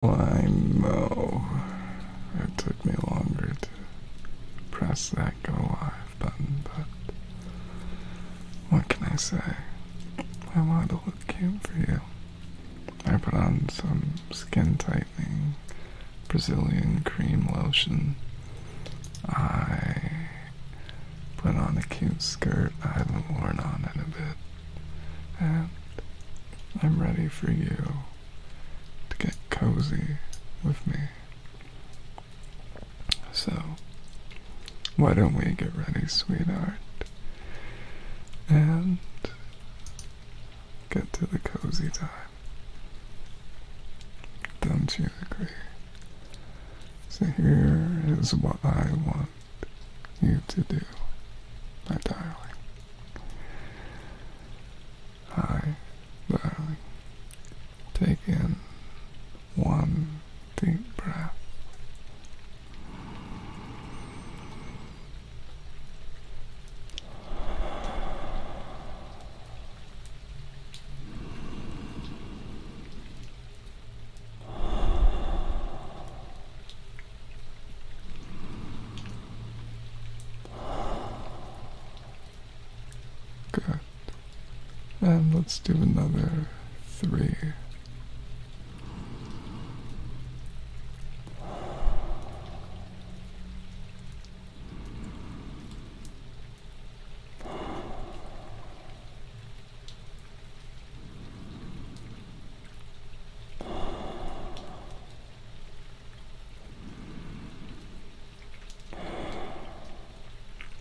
Why, Mo, it took me longer to press that go live button, but what can I say? I wanted to look cute for you. I put on some skin tightening Brazilian cream lotion. I put on a cute skirt I haven't worn on in a bit and I'm ready for you to get cozy with me. So, why don't we get ready, sweetheart, and get to the cozy time? Don't you agree? So, here is what I want you to do, my darling. Hi, darling. Take in one deep breath. Good. And let's do another three.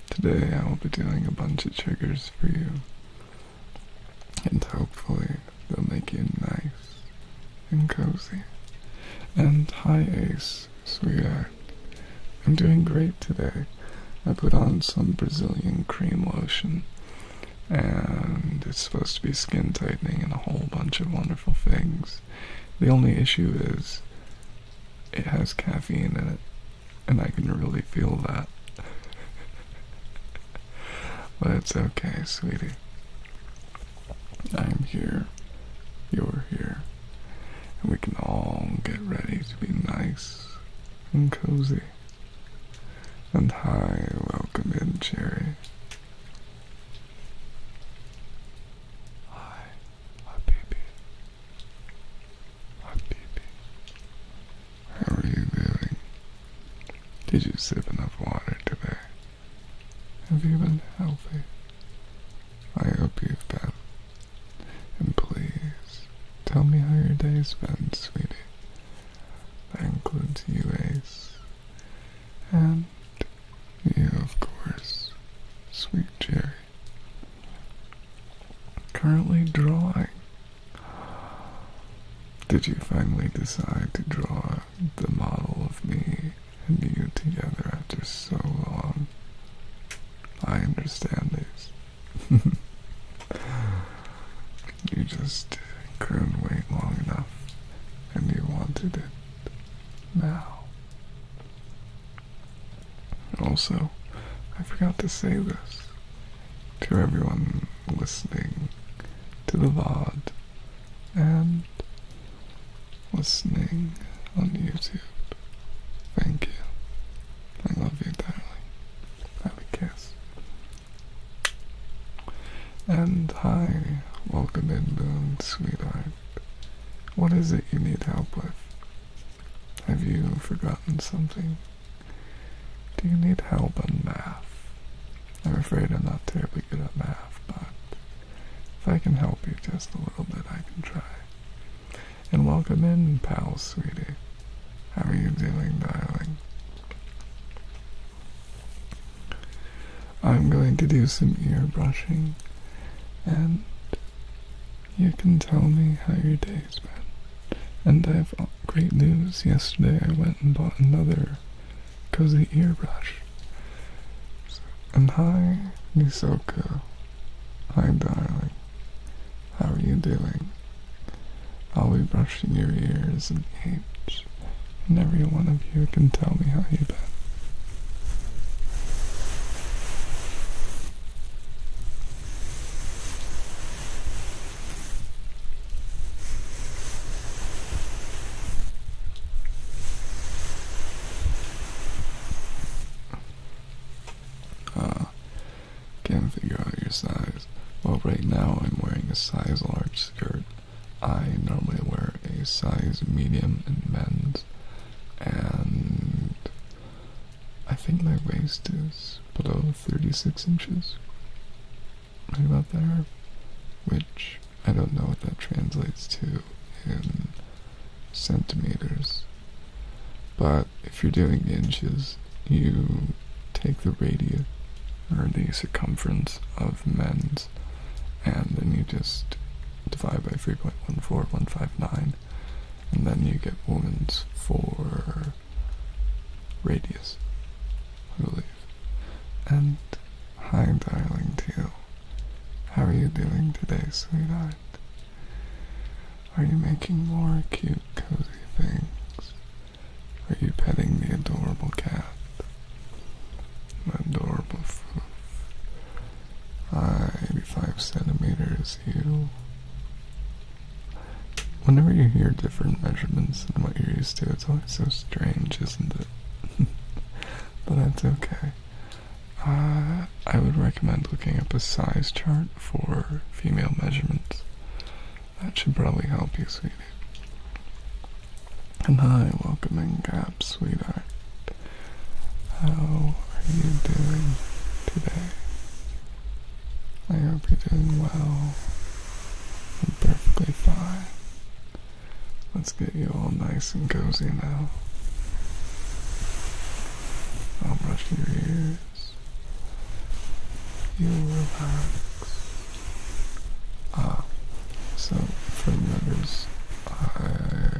Today I will be doing a bunch of triggers for you, and hopefully they'll make you nice and cozy. And hi Ace, sweetheart. I'm doing great today. I put on some Brazilian cream lotion and it's supposed to be skin tightening and a whole bunch of wonderful things. The only issue is it has caffeine in it, and I can really feel that. but it's okay, sweetie. I'm here, you're here, and we can all get ready to be nice and cozy. And hi, welcome in, Cherry. Hi, Habibi. Habibi. How are you doing? Did you sip enough water today? Have you been healthy? I hope you've been. And please, tell me how your day's been, sweetie. Thank includes you, Ace and um, you, of course, Sweet Cherry. Currently drawing. Did you finally decide to draw the model of me and you together after so long? I understand this. You just couldn't wait long enough and you wanted it now. Also, I forgot to say this to everyone listening to the VOD and listening on YouTube. Thank you. I love you, darling. Have a kiss. And hi, welcome in, Moon, sweetheart. What is it you need help with? Have you forgotten something? Do you need help on math? I'm afraid I'm not terribly good at math, but if I can help you just a little bit, I can try. And welcome in, pal, sweetie. How are you doing, darling? I'm going to do some ear brushing and you can tell me how your day's been. And I have great news. Yesterday I went and bought another cozy ear brush. And hi, Nisoka. Hi, darling. How are you doing? I'll be brushing your ears and apes and every one of you can tell me how you've been. Ah, can't figure out your size. Well, right now I'm wearing a size large skirt I normally wear a size medium in men's, and I think my waist is below 36 inches, right about there, which I don't know what that translates to in centimeters. But if you're doing inches, you take the radius or the circumference of mens and then you just divide by 3.14159, and then you get Woman's 4 radius, I And hi, darling Teal. How are you doing today, sweetheart? Are you making more cute, cozy things? Are you petting the adorable cat? adorable foot. 85 centimeters, you. Whenever you hear different measurements than what you're used to, it's always so strange, isn't it? but that's okay. Uh, I would recommend looking up a size chart for female measurements. That should probably help you, sweetie. And hi, welcome in Gap, sweetheart. How are you doing today? I hope you're doing well and perfectly fine. Let's get you all nice and cozy now. I'll brush your ears. You relax. Ah, so from letters, uh,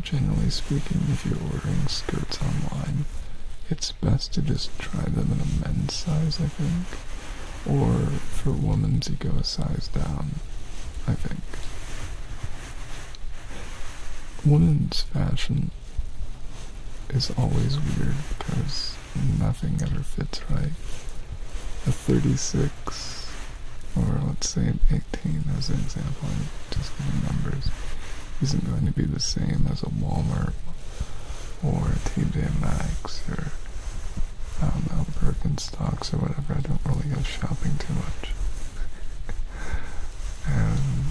generally speaking, if you're ordering skirts online, it's best to just try them in a men's size, I think. Or for women's, you go a size down, I think. Women's fashion is always weird because nothing ever fits right a 36 or let's say an 18 as an example, I'm just giving numbers, isn't going to be the same as a Walmart or a TJ Maxx or um, Al Birkenstocks or whatever. I don't really go shopping too much. and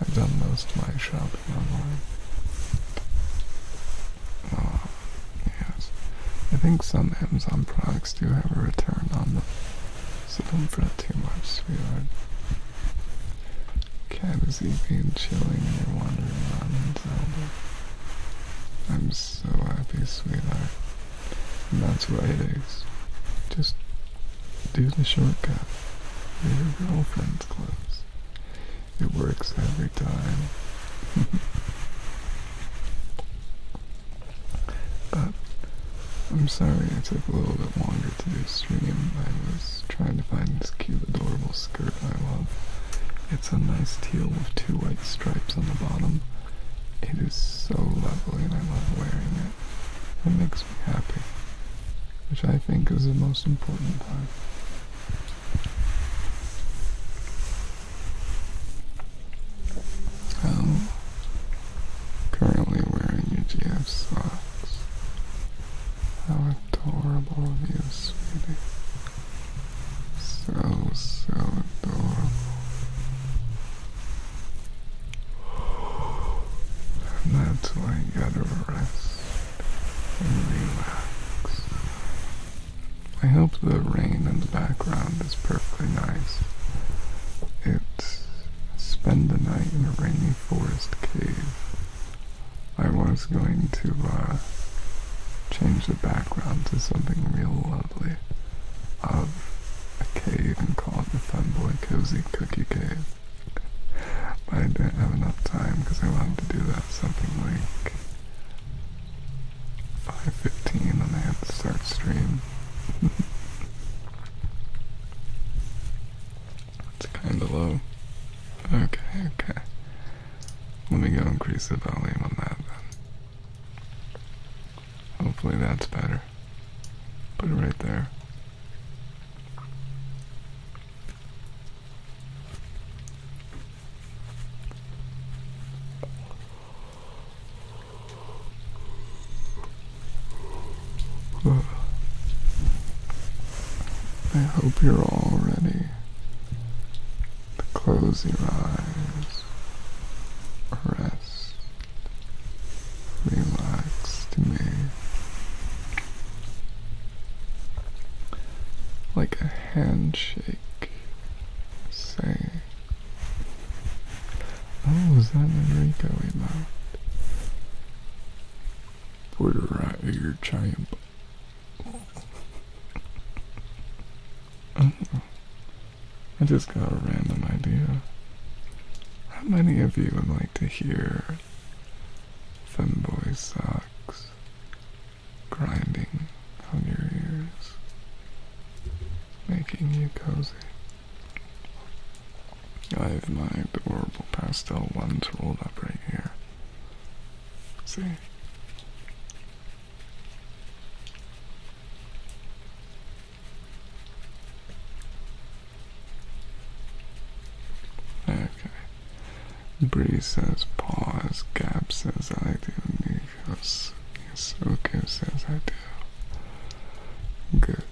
I've done most of my shopping online. Uh, yes. I think some Amazon products do have a return on them, so don't fret too much, sweetheart. Cat is eating chilling and wandering around in Zelda. I'm so happy, sweetheart. And that's what it is. Just do the shortcut. Wear your girlfriend's clothes. It works every time. But I'm sorry I took a little bit longer to do a stream. I was trying to find this cute, adorable skirt I love. It's a nice teal with two white stripes on the bottom. It is so lovely and I love wearing it. It makes me happy, which I think is the most important part. I'm currently wearing UGF socks. How adorable of you, sweetie. So, so adorable. And that's why you gotta rest and relax. I hope the rain in the background is perfectly nice. It's spend the night in a rainy forest cave. I was going to uh, change the background to something real lovely of a cave and call it the Funboy Cozy Cookie Cave. But I didn't have enough time because I wanted to do that something like 5.15 and I had to start stream. it's kinda low. Okay, okay. Let me go increase the volume on that then. Hopefully that's better. Put it right there. I hope you're all ready close your eyes, rest, relax to me like a handshake Say. Oh, is that Enrique Enrico emote? Put her right in your champ. I just got a random idea. How many of you would like to hear Boy Sucks"? grinding on your ears, making you cozy. I have my adorable pastel ones rolled up right here. See? Okay. Bree says pause, Gap says I do need feels so Okay. as I do. Good.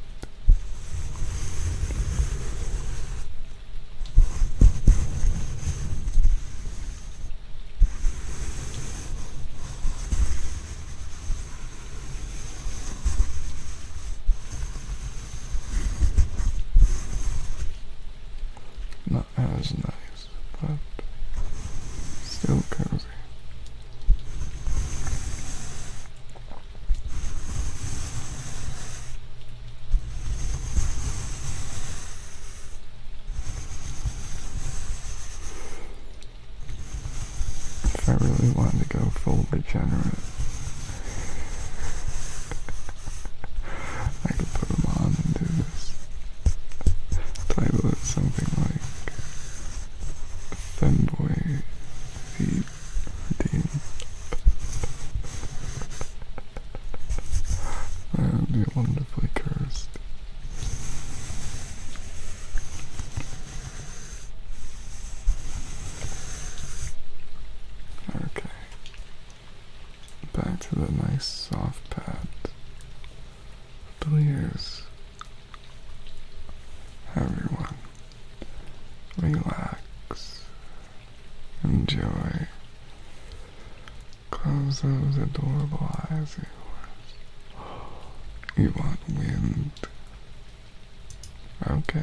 That was nice, but still cozy. If I really wanted to go full degenerate, I could put them on and do this title it something like Femboy Feet Dean. I be wonderfully cursed. Okay. Back to the nice soft pad. Please, everyone, relax, enjoy, close those adorable eyes of You want wind. Okay.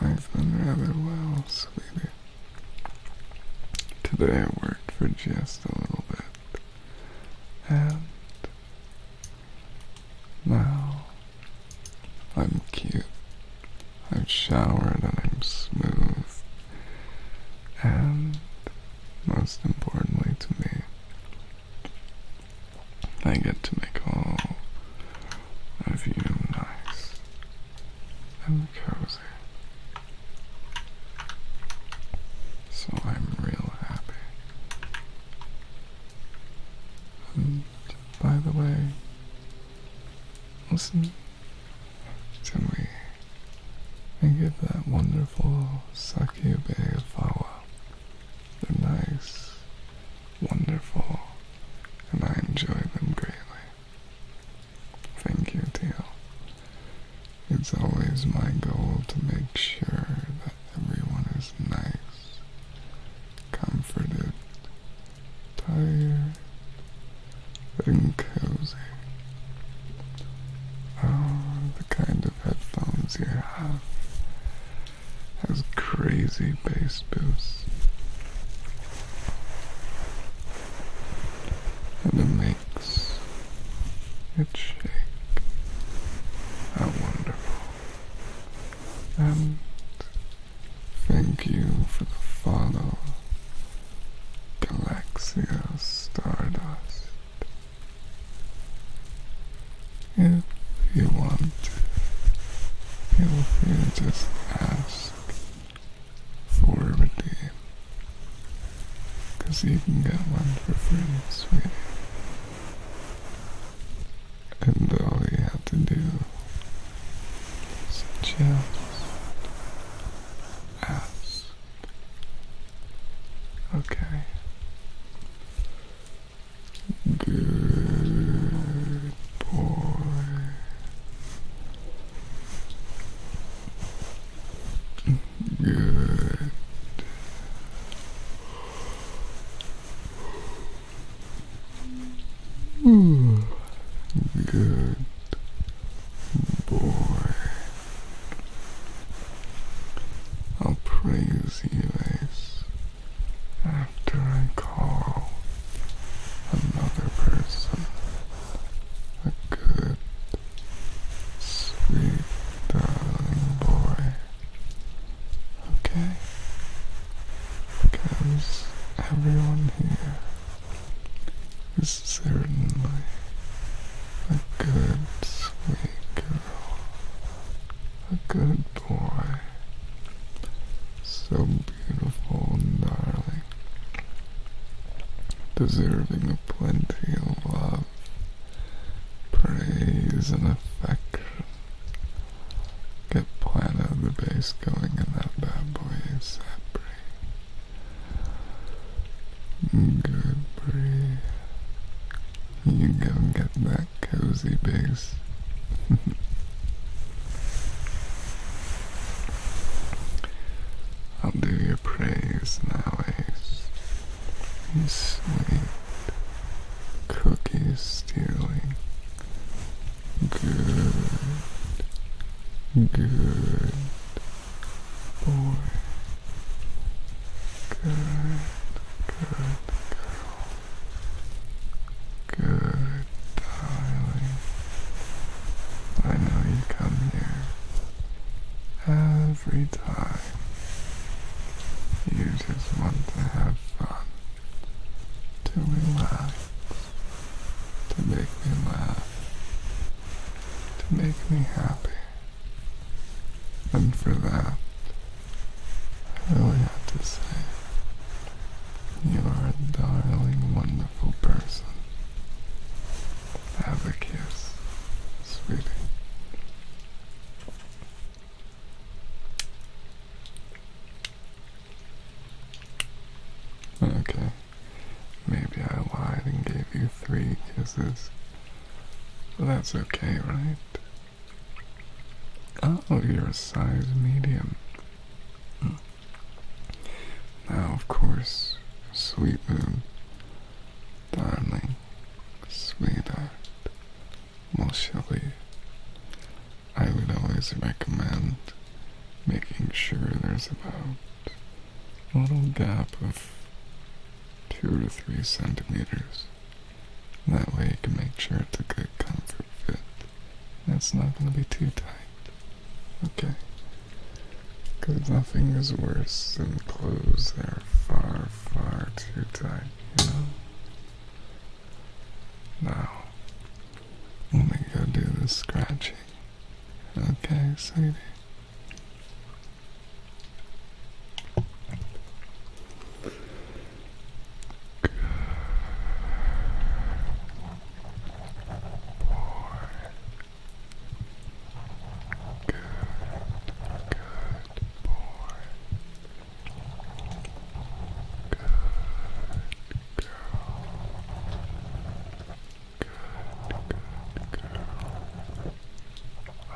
I've been rather well, sweetie. Today I worked for just a little bit, and now I'm cute. I've showered and I'm smooth, and most importantly to me, I get to make all of you nice and cozy. So I'm real happy. And by the way, listen can we and give that wonderful beautiful succube flower. They're nice, wonderful, and I enjoy them greatly. Thank you, Teal. It's always my goal to make sure that everyone is nice, comforted, tired, and cozy. Oh, the kind of headphones you have has crazy bass boost. And it makes it shake. How wonderful. And thank you for the follow, Galaxia Stardust. If you want, you free to just ask for a redeem. Cause you can get one for free, And all you have to do is just ask. Okay. Good boy. Good. Hmm. Ooh. Good boy. I'll praise you, Ace, after I call another person a good, sweet, darling boy. Okay? Because everyone here is certainly a good sweet girl, a good boy, so beautiful darling, deserving of plenty of love, praise and affection. Get Plano the bass going in that bad boy ASAP. Good You go get that cozy base. I'll do your praise now, Ace. You sweet, cookie stealing, good, good boy. Good good girl. Good darling. I know you come here every time. You just want to have fun. To relax. To make me laugh. To make me happy. And for that, I would have to say, you are a darling, wonderful person. Have a kiss, sweetie. Okay, maybe I lied and gave you three kisses. Well, that's okay, right? Oh, you're a size medium. Hmm. Now, of course, sweet moon, darling, sweetheart, Mosheli, I would always recommend making sure there's about a little gap of two to three centimeters that way you can make sure it's a good comfort fit. It's not going to be too tight. Okay. Because nothing is worse than clothes that are far, far too tight, you know? Now, let me go do the scratching. Okay, sweetie. Good boy. Good, good boy. Good girl. Good, good girl.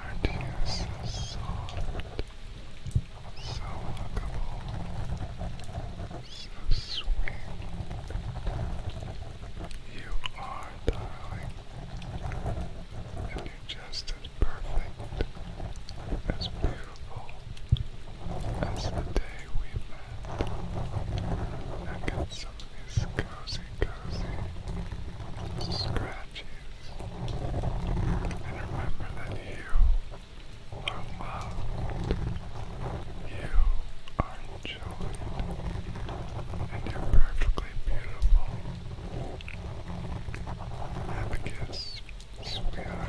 Aren't you so soft? So huggable, so sweet. You are, darling, and you're just as perfect, as beautiful as the day we met. I got some of these cozy, cozy scratches and remember that you are loved, you are enjoyed, and you're perfectly beautiful. Have a kiss, sweetheart.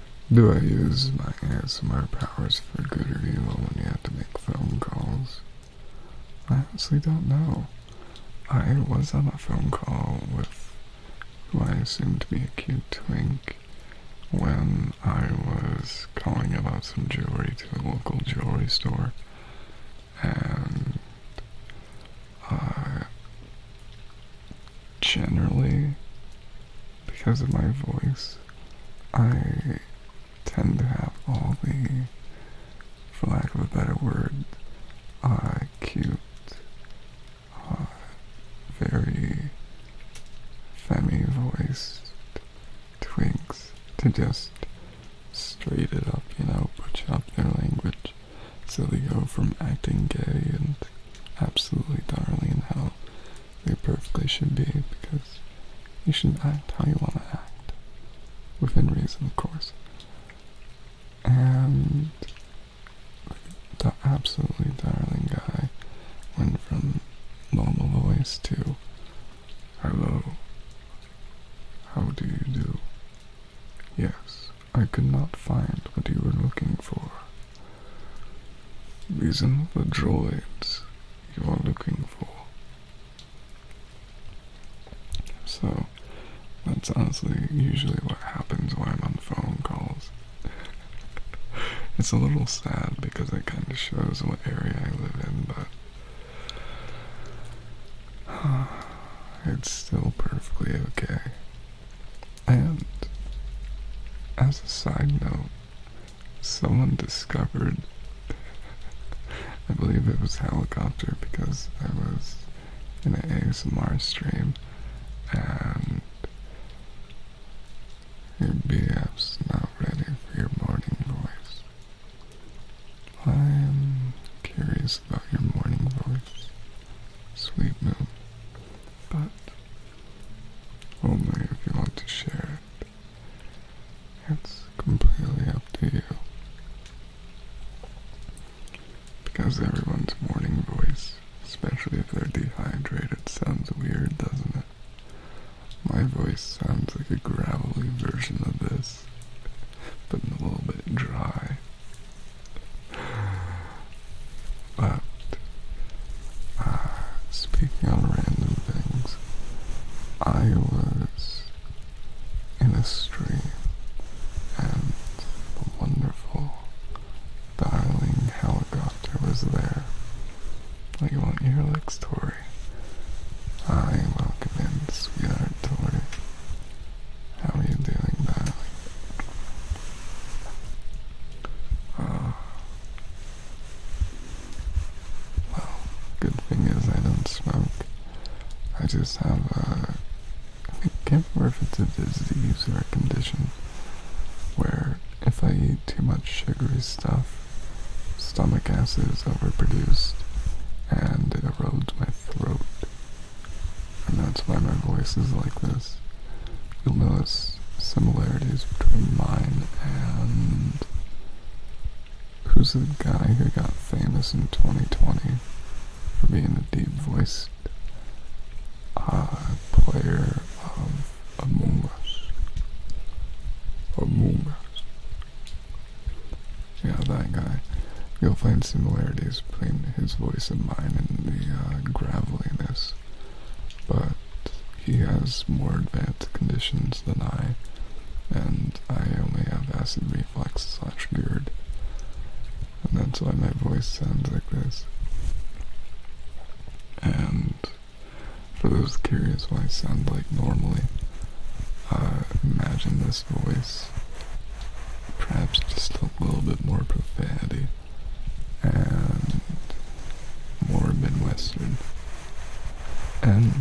Do I use my ASMR powers for good or evil when you have to make phone calls? I honestly don't know. I was on a phone call with who I assumed to be a cute twink when I was calling about some jewelry to a local jewelry store and I generally because of my voice, I tend to have all the, for lack of a better word, I uh, cute, uh, very femi voiced twinks to just straight it up, you know, butch up their language. So they go from acting gay and absolutely darling and how they perfectly should be because you should act how you want to act. Within reason, of course. And the absolutely darling guy went from normal voice to hello. How do you do? Yes, I could not find what you were looking for. These are the droids you are looking for. So, that's honestly usually what happens when I'm on phone calls. it's a little sad because it kind of shows what area I live in, but it's still perfectly okay. And as a side note, someone discovered I believe it was helicopter because I was in a ASMR stream and your BF's not ready for your morning voice. I'm curious about your morning voice, sweet moon, but only if you want to share it. It's completely up to you. Because everyone's morning voice, especially if they're dehydrated, sounds weird, doesn't it? My voice sounds like a gravelly version of this, but a little bit dry. But Ah, speaking on random things, I was in a stream and the wonderful darling helicopter was there. Like, you want your like story? I welcome in, sweetheart Tori. How are you doing, darling? Ah. Well, good thing is I don't smoke. I just have a... Uh, I can't remember if it's a disease or a condition where if I eat too much sugary stuff, stomach acid is overproduced and it erodes my throat. And that's why my voice is like this. You'll notice similarities between mine and who's the guy who got famous in 2020 for being a deep voiced uh, player of Among Us. Among Us. Yeah, that guy. You'll find similarities between his voice and mine and the uh, graveliness, but he has more advanced conditions than I, and I only have acid reflux slash GERD. And that's why my voice sounds like this. And for those curious why I sound like normally, uh, imagine this voice, perhaps just a little bit more profanity and more Midwestern. And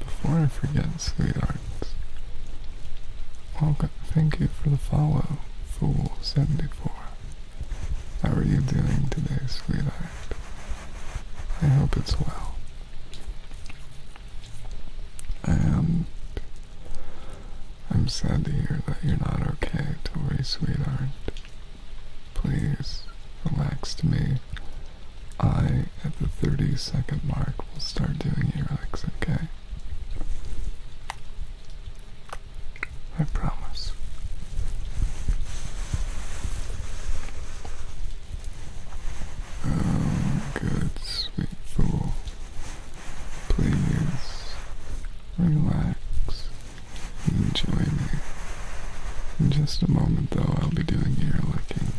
before I forget, sweetheart, Thank you for the follow, Fool74. How are you doing today, sweetheart? I hope it's well. And I'm sad to hear that you're not okay, Tori, sweetheart. Please relax to me. I, at the 30 second mark, will start doing earlicks, okay? I promise. Oh, good, sweet fool. Please relax. Enjoy me. In just a moment, though, I'll be doing ear licking.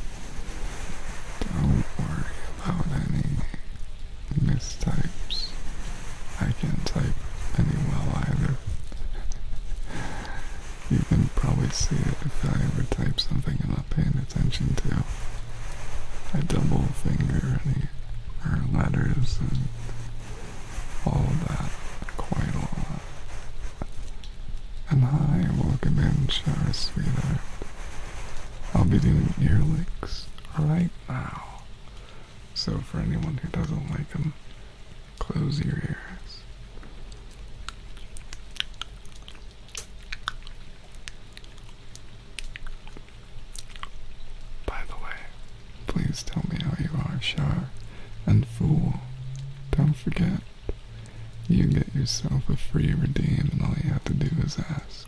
Don't worry about any mistypes. I can't type any well either. you can probably see it if I ever type something I'm not paying attention to. I double finger any or letters and all that quite a lot and hi, welcome in, Shara, sweetheart. I'll be doing ear licks right now. So for anyone who doesn't like them, close your ears. By the way, please tell me how you are, Shar, and fool, don't forget you get yourself a free redeem, and all you have to do is ask.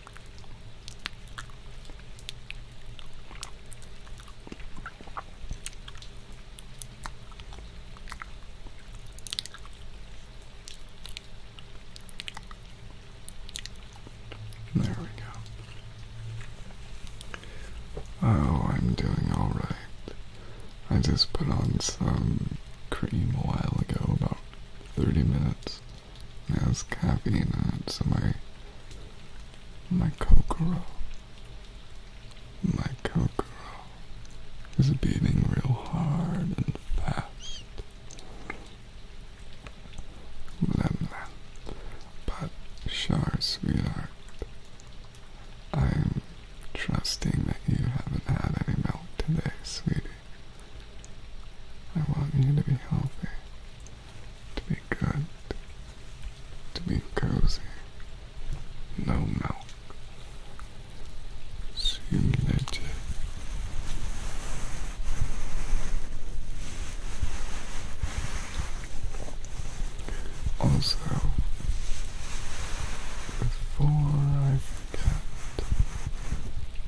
There we go. Oh, I'm doing alright. I just put on some cream a while ago, about 30 minutes there's caffeine on so my my Kokoro. My Kokoro is beating real hard and fast. Lemla. But sure, sweetheart. I'm trusting that you haven't had any milk today, sweetie. I want you to be healthy to be good, to be cozy. No milk. See Also, before I forget,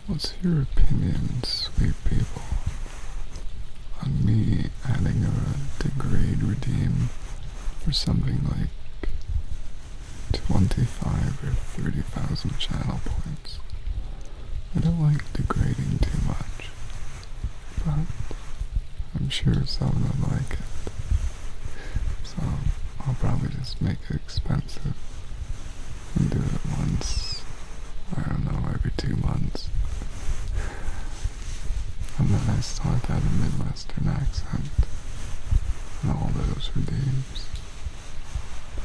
what's your opinion, sweet people? on me adding a degrade redeem for something like 25 or 30,000 channel points. I don't like degrading too much, but I'm sure someone will like it. So I'll probably just make it expensive and do it once I don't know, every two months. And then I start to have a Midwestern accent. And all those redeems.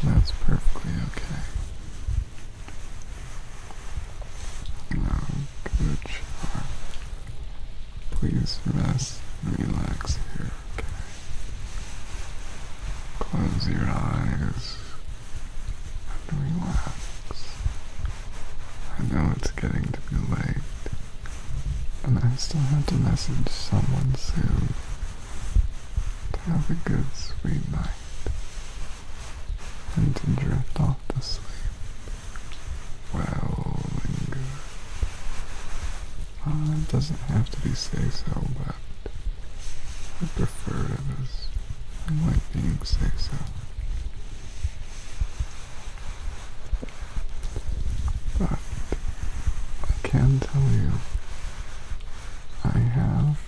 And that's perfectly okay. Now, Coach, please rest relax here, okay? Close your eyes and relax. I know it's getting to be late, and I still have to message someone soon. To have a good, sweet night, and to drift off to sleep well and good. Ah, it doesn't have to be say so, but I prefer it as I like being say so. But I can tell you I have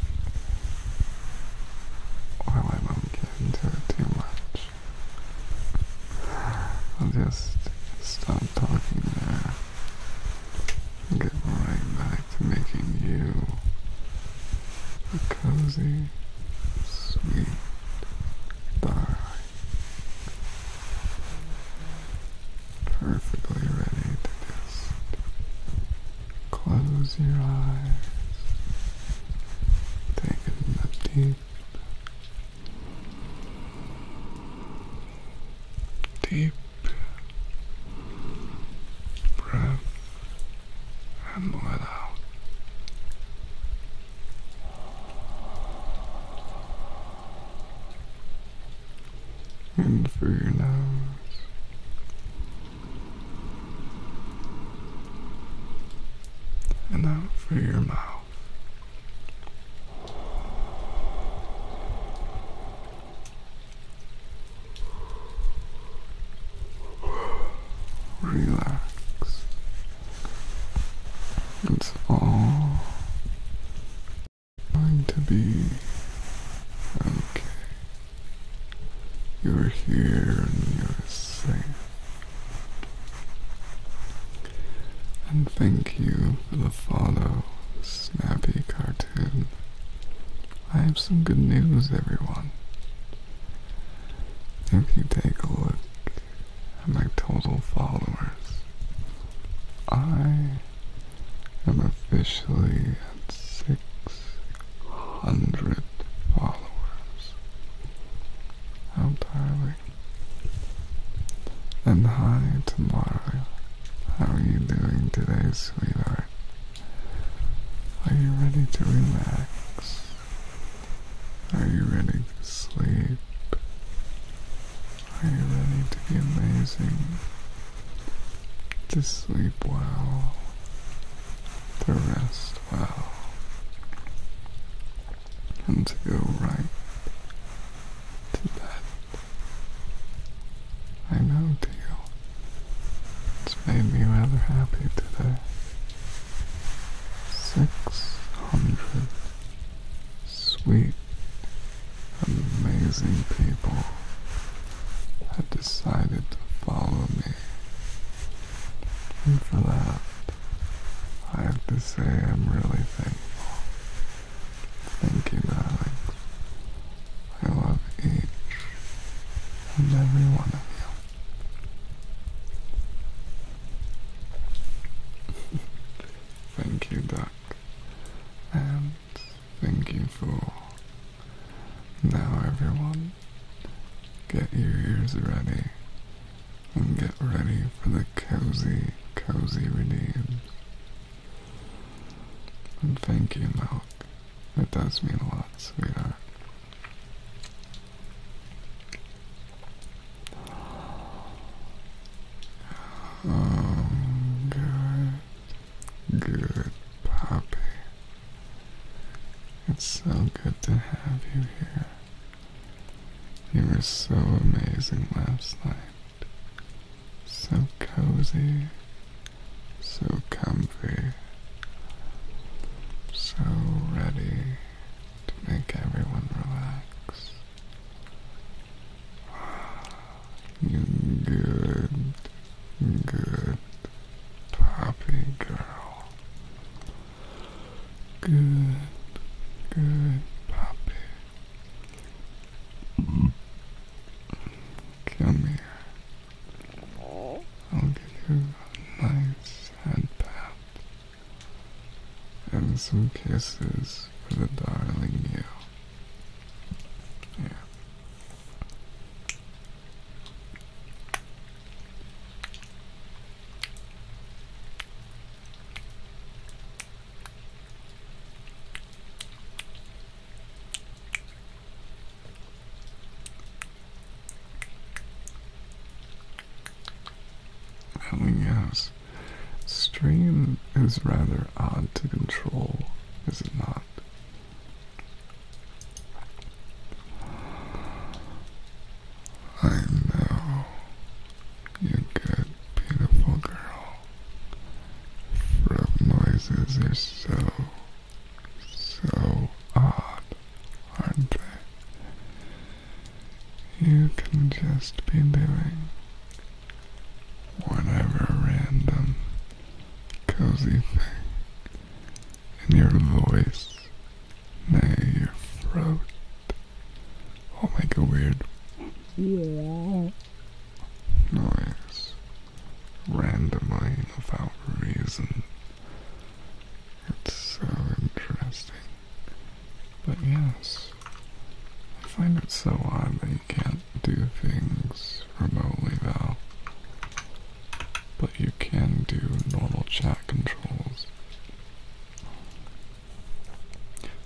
well I am getting too much. I'll just stop talking there get right back to making you a cozy, sweet bar. Perfectly ready to just close your eyes, take a deep, deep breath and let out. In through your nose. And out through your mouth. Relax. It's all going to be okay. You're here and you're safe. And thank you for the follow, Snappy Cartoon. I have some good news, everyone. If you take a look at my total followers, I am officially at 600 followers. How darling. And hi, Tamara. How are you doing today, sweetheart? Are you ready to relax? Are you ready to sleep? Are you ready to be amazing? To sleep well? To rest well? And to go right to bed? I know, deal. It's made me rather happy today. Six hundred sweet, amazing people have decided to follow me. And for that, I have to say I'm really thankful. Thank you, darling. I love each and every one of you. thank you, Duck, and thank you, Fool. Now, everyone, get your ears ready and get ready for the cozy, cozy redeems. And thank you, Milk. It does mean a lot, sweetheart. Oh, good, good puppy. It's so good to have you here. You were so amazing last night. So cozy, so comfy, so ready to make everyone relax. good, good puppy girl. Good, good puppy. Come here. I'll give you a nice headband, and some kisses for the darling you. Yeah. Helen oh, yes. Stream is rather odd to control, is it not? I know. You good, beautiful girl. Frog noises are so so odd, aren't they? You can just be doing whatever random cozy thing in your voice, nay, your throat, will make a weird yeah. noise randomly without reason. It's so interesting. But yes, I find it so odd that you can't do things remotely though. But you can do normal chat controls.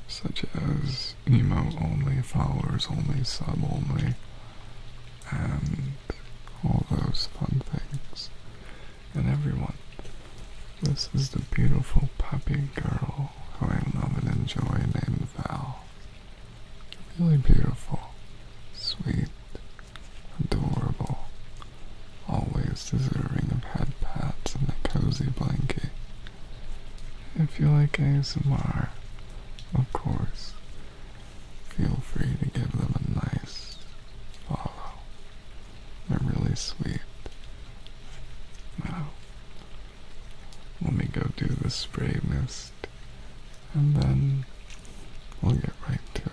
Such as emote only, followers only, sub only, and all those fun things and everyone. This is the beautiful puppy girl who I love and enjoy named Val. Really beautiful, sweet, adorable, always deserving of head pats and a cozy blanket. If you like ASMR, of course, feel free to give them a nice follow. I'm really sweet. Now, let me go do the spray mist and then we'll get right to it.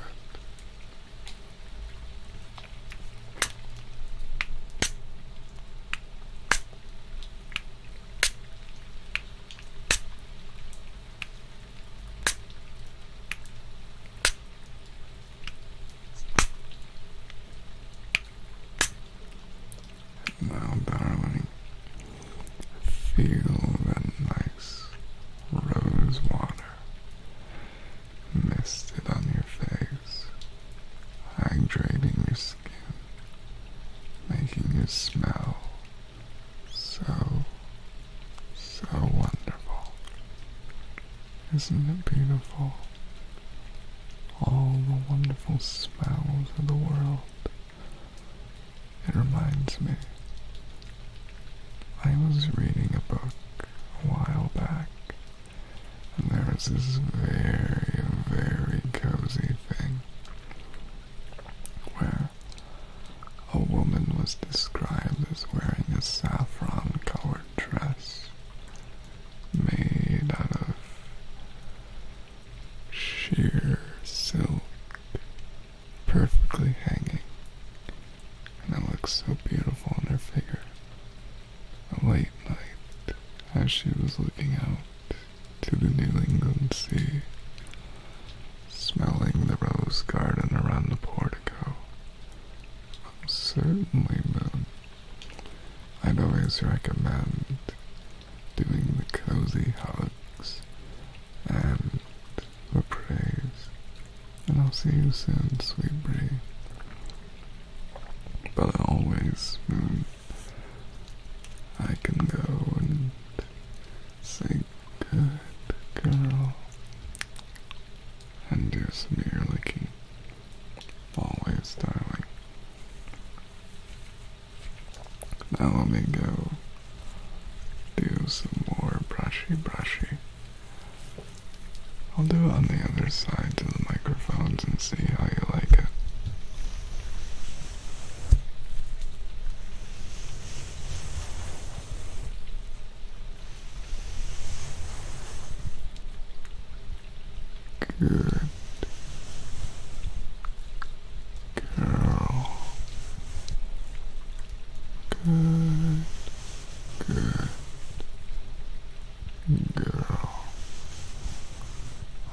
Now, darling, feel that nice rose water misted on your face, hydrating your skin, making you smell so so wonderful. Isn't it beautiful? All the wonderful smells of the world. It reminds me. I was reading a book a while back, and there was this very, very cozy thing where a woman was described as wearing a saffron colored dress made out of sheer silk, perfectly hanging, and it looked so beautiful on her figure. A Late night, as she was looking out to the New England Sea, smelling the rose garden around the portico, Certainly, Moon. I'd always recommend doing the cozy hugs and the praise. And I'll see you soon, sweet Bree. But always, Moon, I can go and say good girl and do some ear licking. Always, darling. Now let me go do some more brushy brushy. I'll do it on the other side to the microphones and see how you like it. Good girl. Good. girl.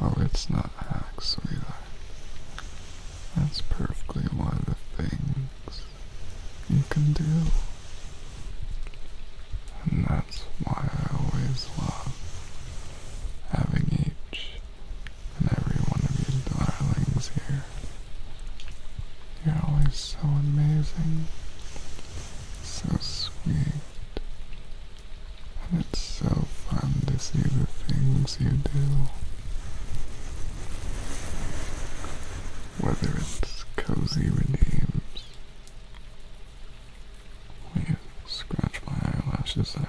Oh, it's not hack, sweetheart. That's perfectly one of the things you can do. And that's why I always love having each and every one of you darlings here. You're always so amazing, so sweet, and it's so fun to see the things you do whether it's cozy redeems. Will scratch my eyelashes there?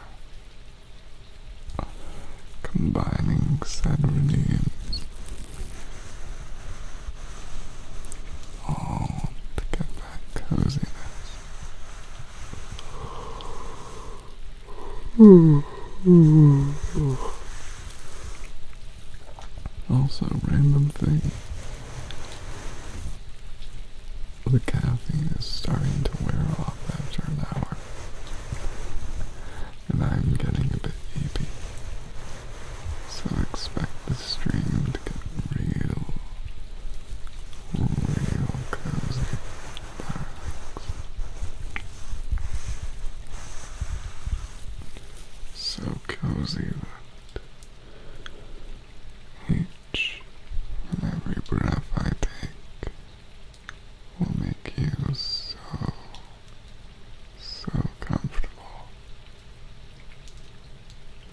Combining said All to get that coziness. Also, random thing. The caffeine is starting to wear off after an hour. And I'm getting a bit eepy. So expect the stream to get real, real cozy so cozy that each and every breath I take will make you so, so comfortable.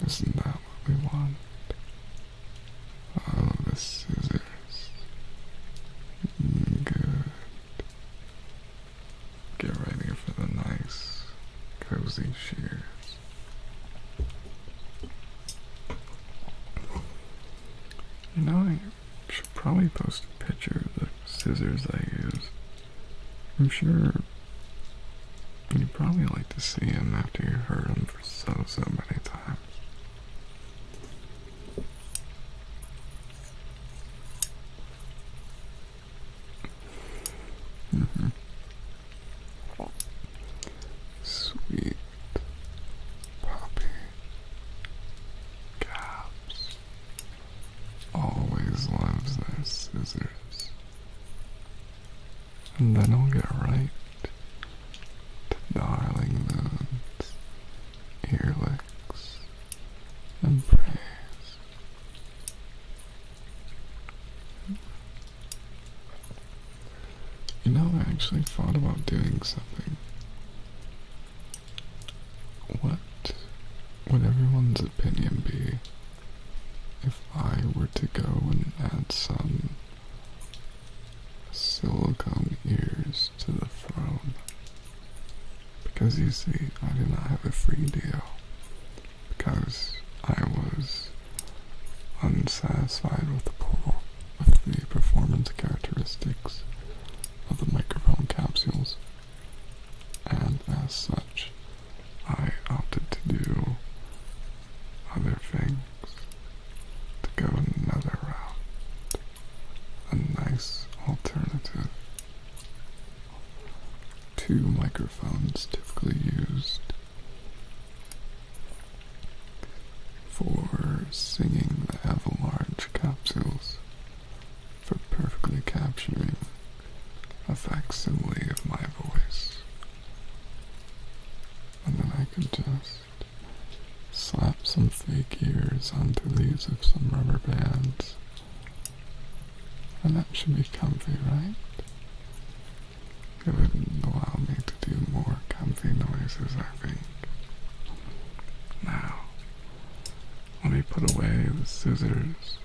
Isn't that what we want? All of the scissors. Good. Get ready for the nice, cozy shears. You know, I should probably post a picture of the scissors I use. I'm sure you'd probably like to see them after you heard them for so, so many times. Mm -hmm. Sweet puppy. Caps always loves their scissors. And then I'll get right to Darling Moon's earlicks and praise. You know, I actually thought about doing something. What would everyone's opinion be if I were to go and add some silicone ears to the throne? Because you see, I do not have a free deal because I was unsatisfied with the pull of the performance characteristics of the microphone capsules, and as such, I opted to do other things to go another route, a nice alternative two microphones typically used for singing the avalanche capsules for perfectly capturing a facsimile of my voice. And then I can just slap some fake ears onto these with some rubber bands and that should be comfy, right? It would allow me to do more comfy noises, I think. Now, let me put away the scissors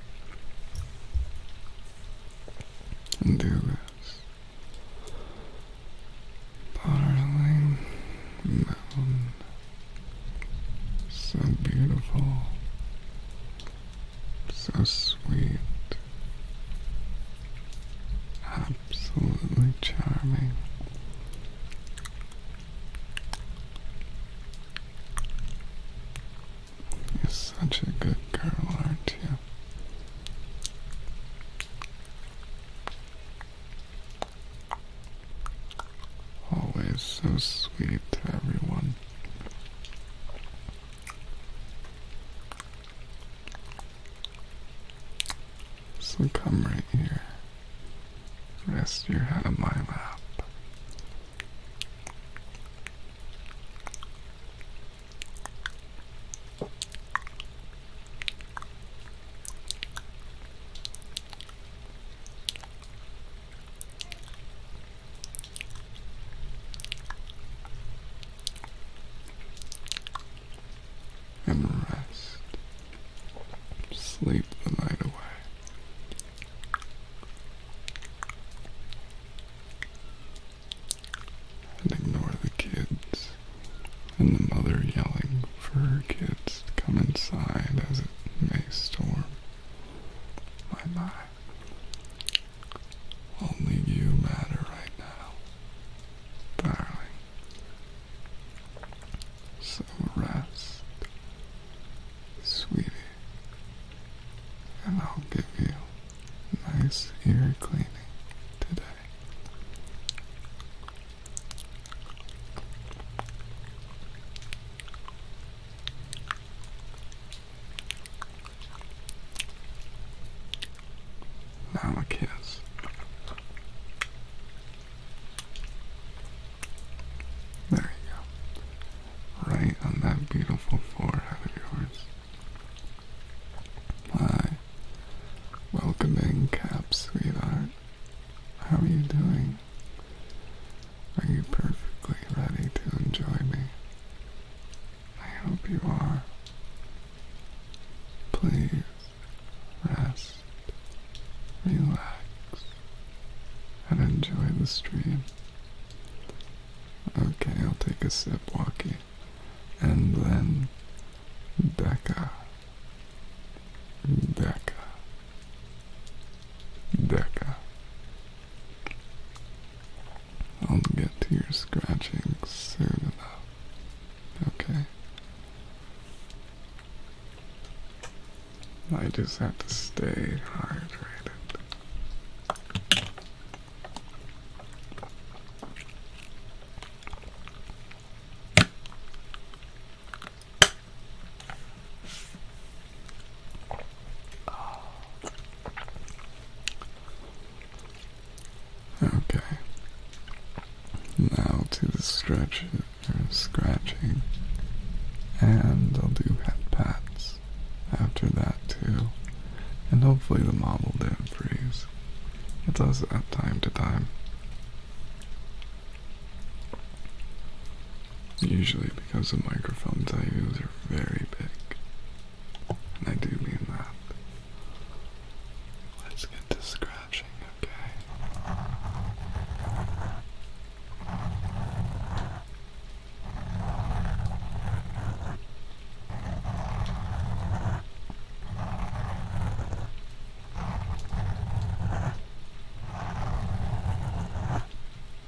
and do this darling So beautiful. So sweet. Absolutely charming. You're such a good girl, aren't you? Always so sweet to everyone so come right here. Rest your head on my lap and rest. Sleep the night away. And ignore the kids and the mother yelling for her kids to come inside as it may storm. My mind. Only you matter right now, darling. So rest, sweetie, and I'll give you a nice ear cleaning today. Now a kiss. There you go. Right on that beautiful forehead of yours. Hi. Welcome in, Cap, sweetheart. How are you doing? Are you perfectly ready to enjoy me? I hope you are. Please rest, relax, and enjoy the stream. Okay, I'll take a sip, Walkie. And then, Becca. Becca. Becca. I'll get to your scratching soon enough. Okay. I just have to stay hydrated. Okay. Now to the stretch and scratching. And I'll do pat pats after that too. And hopefully the model didn't freeze. It does at time to time. Usually because the microphones I use are very big. And I do mean that. Let's get to scratching, okay?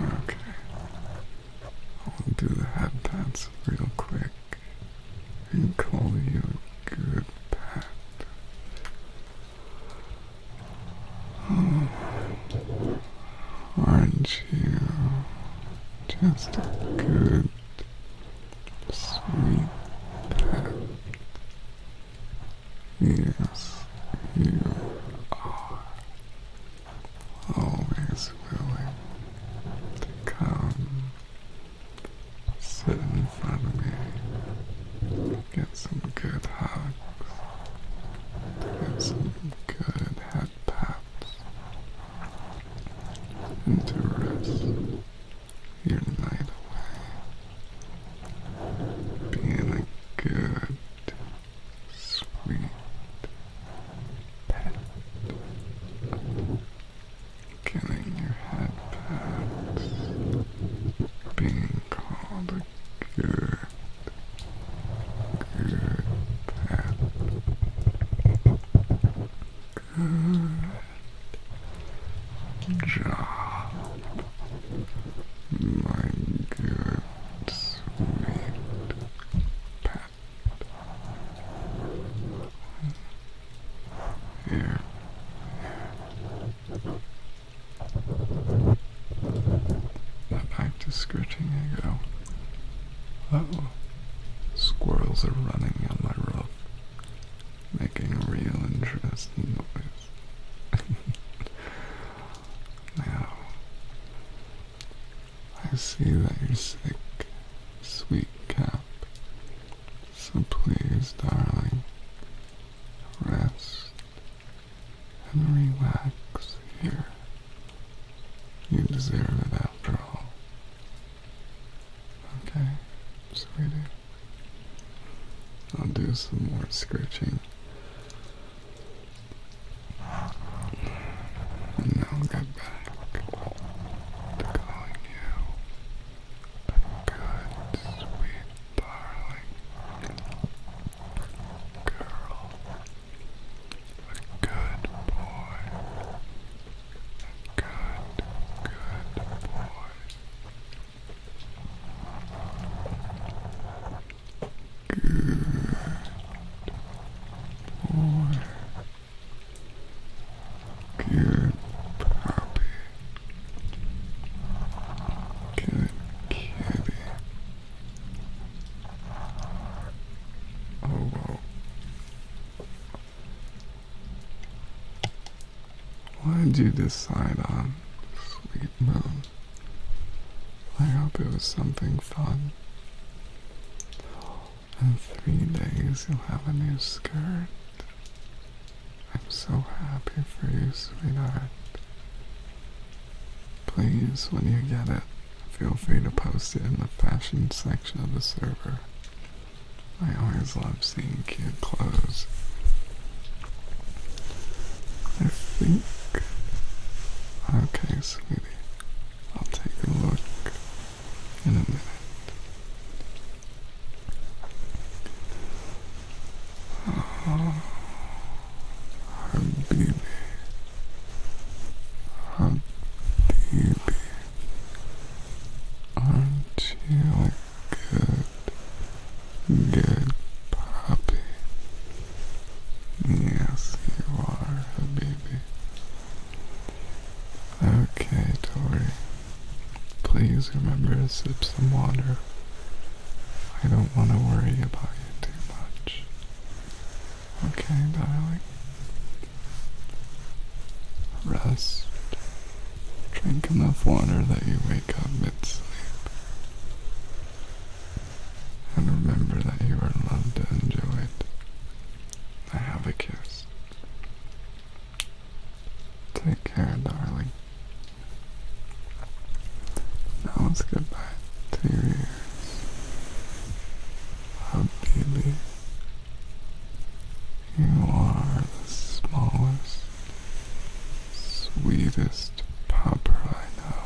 Okay. I'll do the head dance real quick and call you a good pat. aren't you just a good, sweet pet? Yes, you are always willing to come sit in front of me, get some good hugs, get some good head pats, and to rest your night away being a good, sweet pet. Getting your head pats. Being called a good, good pet. Good job my good sweet pet. Here, that act of scratching ego. Oh, squirrels are running on my roof, making real interesting noise. now, I see that you're sick, sweet cap. So please, darling, rest and relax here. You deserve it after all. Okay, sweetie. I'll do some more scratching. And now get back to calling you a good, sweet, darling girl, a good boy, a good, good boy. Good boy. Good puppy. Good kitty. Oh, why did you decide on? Sweet moon. I hope it was something fun. In three days you'll have a new skirt. I'm so happy for you, sweetheart. Please, when you get it, feel free to post it in the fashion section of the server. I always love seeing cute clothes. I think. Okay, sweetie. I'll take a look in a minute. Oh, Habibi. Habibi. Aren't you like good Good puppy. Yes, you are, baby. Okay, Tori. Please remember to sip some water. I don't want to worry about you too much. Okay, darling? Rest. Drink enough water that you wake up mid-sleep. And remember that you are loved and enjoyed. I have a kiss. Take care, darling. Now it's goodbye to your ears. Habibi, you are the smallest, sweetest papa I know.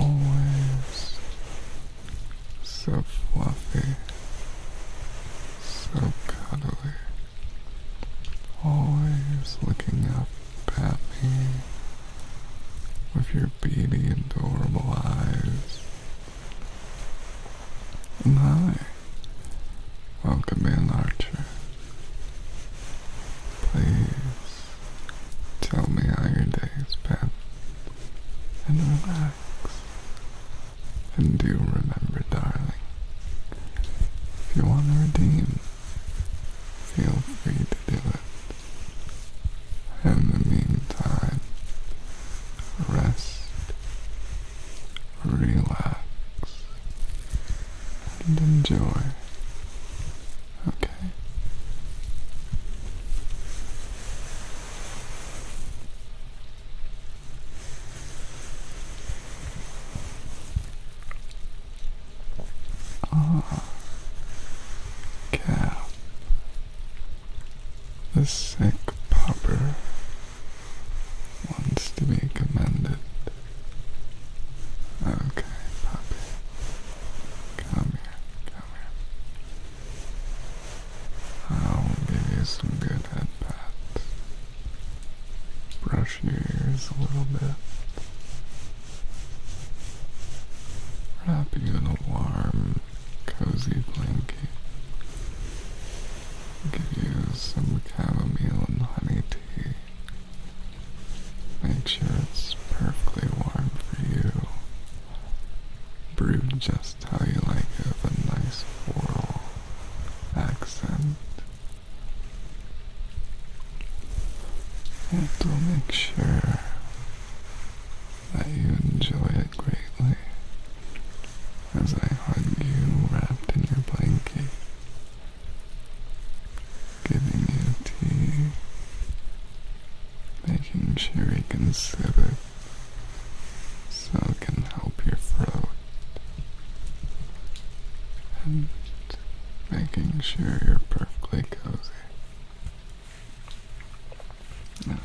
Always so fluffy, so cuddly, always looking up at me with your beady, adorable eyes. And hi, welcome in, Archer. Please tell me how your day has been and relax. And do remember, darling, if you want to redeem, feel free to do it. In the meantime, rest relax, and enjoy. Okay. Ah, cap. The sick popper wants to be commended. Okay, puppy. Come here, come here. I'll give you some good head pats. Brush your ears a little bit. Wrap you in a warm, cozy blanket give you some chamomile and honey tea. Make sure it's perfectly warm for you. Brewed just how you like it with a nice floral accent. It to make sure that you enjoy it greatly as I hug you wrapped in your blanket Giving you tea. Making sure you can sip it so it can help your throat. And making sure you're perfectly cozy. Now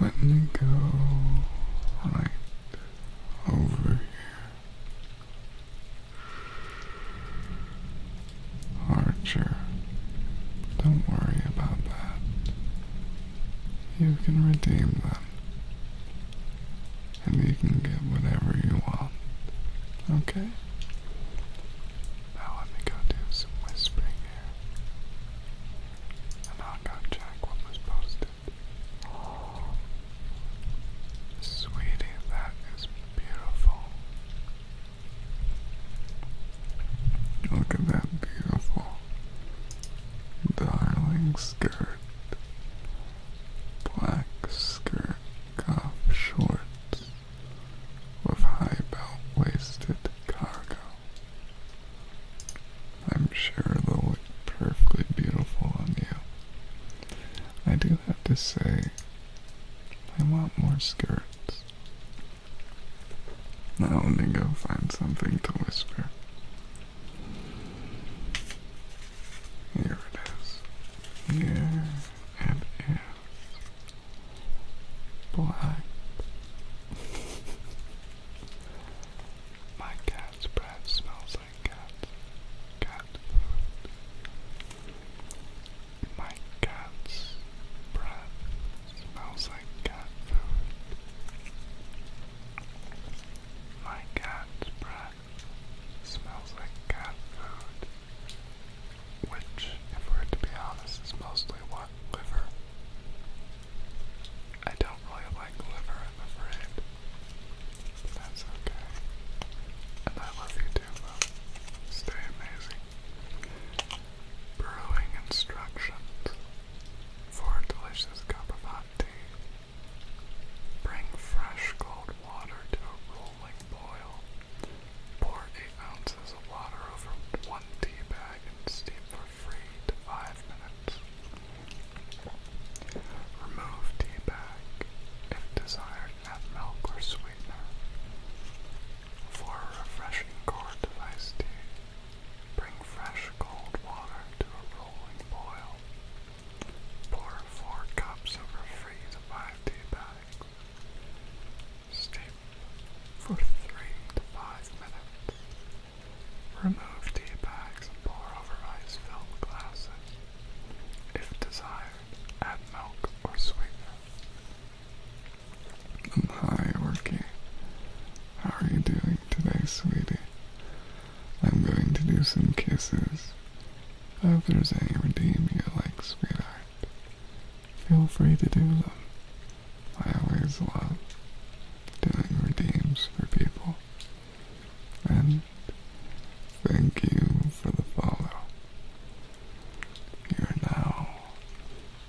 let me go right over here. Archer, don't worry about that. You can redeem them. And you can get whatever you want. Okay? Now let me go do some whispering here. And I'll go check what was posted. Sweetie, that is beautiful. Look at that beautiful darling skirt. Black skirt, cuff shorts with high belt-waisted cargo. I'm sure they'll look perfectly beautiful on you. I do have to say, I want more skirts. Now let me go find something to whisper. Here it is. Yeah, and yeah. Boy, my cat's breath smells like cat food. My cat's breath smells like cat food. My cat's breath smells like cat food. Which, if we're to be honest, is mostly what? Liver. I don't really like liver, I'm afraid. But that's okay. And I love you too, love. Stay amazing. Brewing instructions for delicious cup of hot tea. Bring fresh cold water to a rolling boil. Pour 8 ounces of water over 1 tea bag and steep for 3 to 5 minutes. Remove tea bag. If desired, add milk or sweetener. For a refreshing quart of tea, bring fresh cold water to a rolling boil. Pour 4 cups over 3 to 5 tea bags. Steep for 3 to 5 minutes. Remove tea bags and pour over ice-filled glasses. If desired, add milk or sweetener. Hi, Orky. How are you doing today, sweetie? I'm going to do some kisses. I there's any redeem you like, sweetheart feel free to do them. I always love doing redeems for people. And thank you for the follow. You are now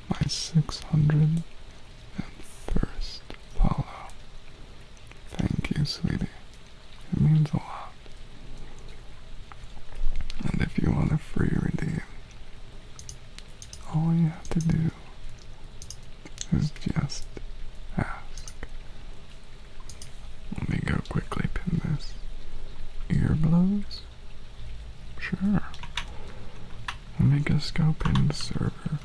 my 601st follow. Thank you, sweetie. It means a lot. And if you want a free redeem, all you have to do is just ask. Let me go quickly pin this. Ear blows? Sure. We'll make a scope in the server.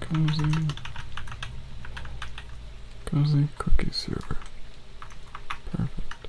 Cozy. Cozy cookie server. Perfect.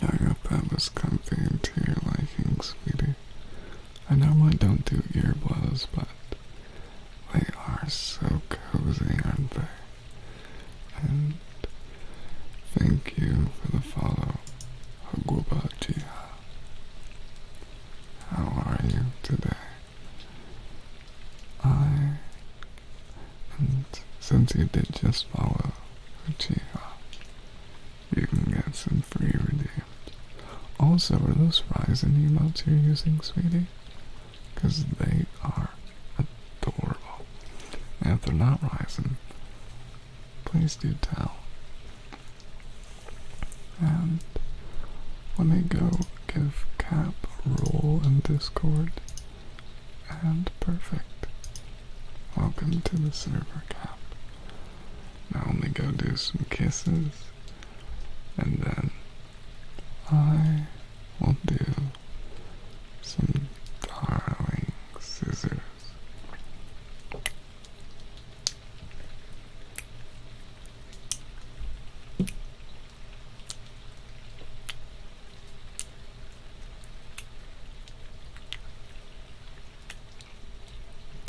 I hope that was comfy and to your liking, sweetie. I normally don't do ear blows, but they are so cozy, aren't they? And thank you for the follow, Haguba How are you today? I, and since you did just follow Uchiha, you can get some free redeem also, are those rising and you're using, sweetie? Because they are adorable. And if they're not rising, please do tell. And let me go give Cap roll in Discord. And perfect. Welcome to the server, Cap. Now let me go do some kisses and then I will do some darling scissors.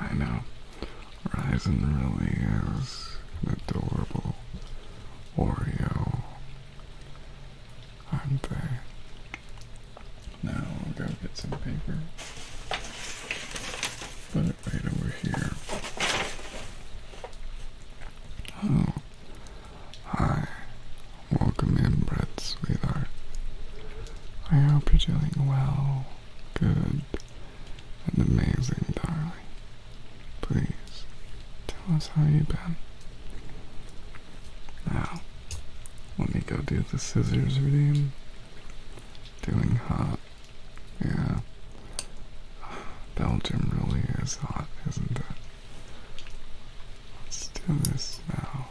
I know. Ryzen really is an adorable Oreo, aren't they? Now go get some paper right over here. Oh, hi. Welcome in, Brett, sweetheart. I hope you're doing well, good, and amazing, darling. Please, tell us how you've been. Now, let me go do the scissors routine. Doing hot yeah. Belgium really is hot, isn't it? Let's do this now.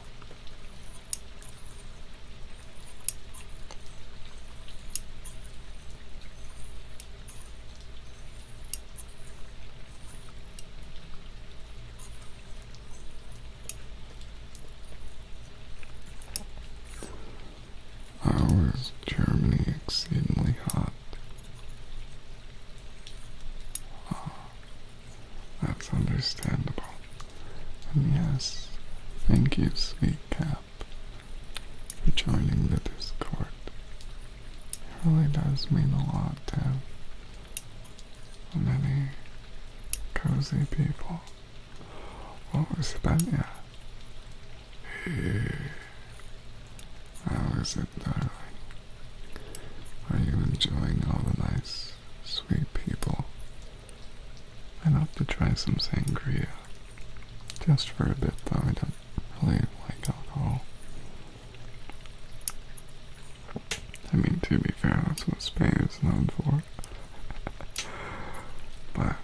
Our Germany exceedingly hot? Ah, that's understandable. And yes, thank you, sweet cap, for joining the Discord. It really does mean a lot to many cozy people. What was that? Yeah. How is it, darling? Are you enjoying all the nice, sweet people? I'd love to try some sangria. Just for a bit, though, I don't really like alcohol. I mean, to be fair, that's what Spain is known for. but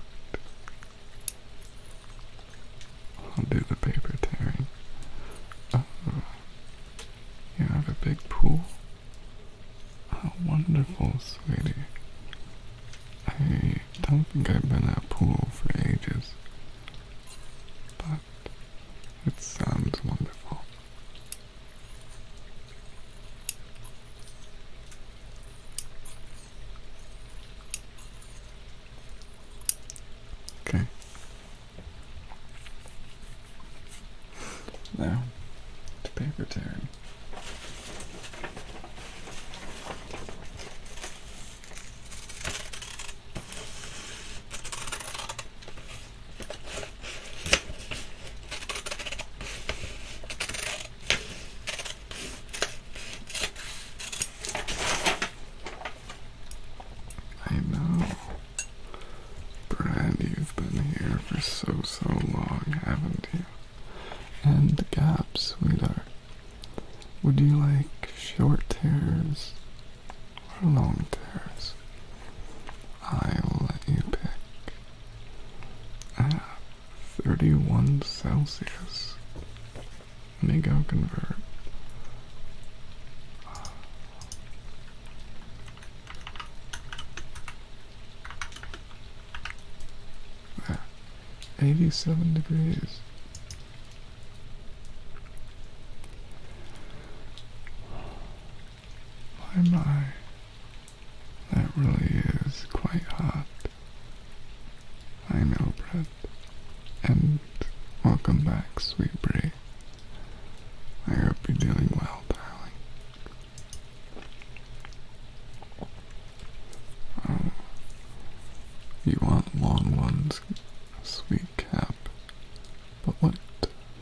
I'll do the paper tearing. Uh, you have a big pool? How oh, wonderful, sweetie. I don't think I've been at a pool for ages, but it sounds wonderful. Okay. Now to paper time. I know. Brad, you've been here for so, so long, haven't you? And Gap, sweetheart. Would you like short tears or long tears? I will let you pick. Ah, 31 Celsius. Let me go convert. Ah, 87 degrees. My, my. That really is quite hot. I know, Brad. And welcome back, sweet Brie. I hope you're doing well, darling. Oh, you want long ones, sweet Cap. But what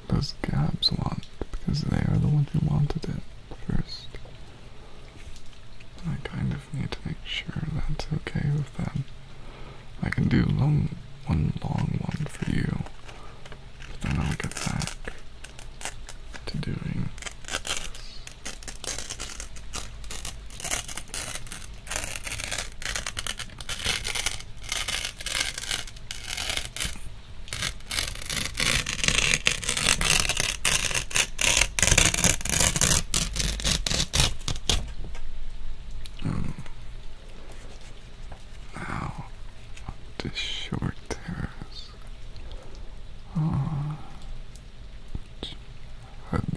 does Gabs want? Because they are the ones who wanted it first. I kind of to make sure that's okay with them. I can do one long one for you, but then I'll get back to doing Oh. Now, short terrace. Ah,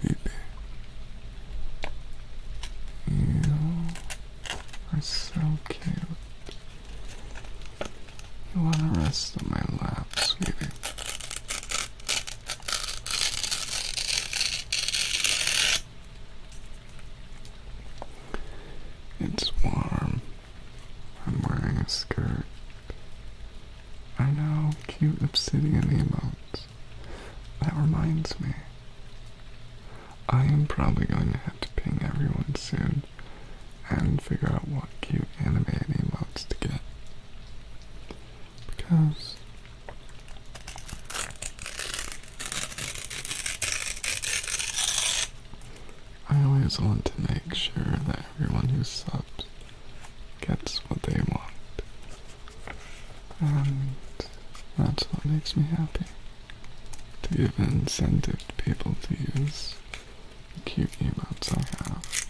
you are so cute. You want to rest on my lap, sweetie? It's warm. I'm wearing a skirt. I know, cute obsidian emotes. That reminds me. I am probably going to have to ping everyone soon and figure out what cute animated emotes to get because I always want to make sure that everyone who subs gets what they want. And that's what makes me happy. To give incentive to people to use the cute emotes I have.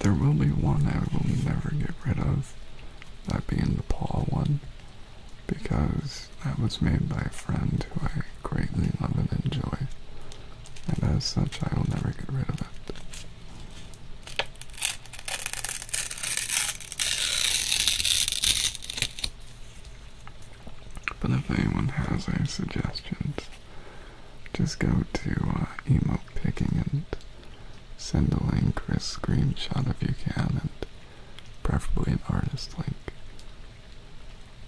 There will be one I will never get rid of, that being the paw one, because that was made by a friend who I greatly love and enjoy, and as such I will never get rid of it. But if anyone has any suggestions, just go to uh, picking and send a link or screenshot if you can, and preferably an artist link.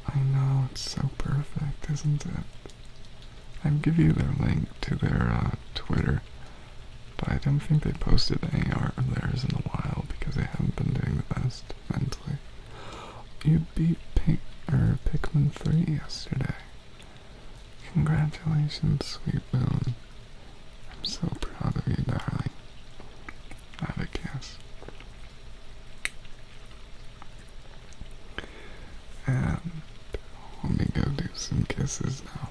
I know, it's so perfect, isn't it? I'll give you their link to their uh, Twitter, but I don't think they posted any art of theirs in a while because they haven't been doing the best mentally. You beat Pink er, Pikmin 3 yesterday. Congratulations, sweet Boone. I'm so proud of you, darling. Have a kiss. And let me go do some kisses now.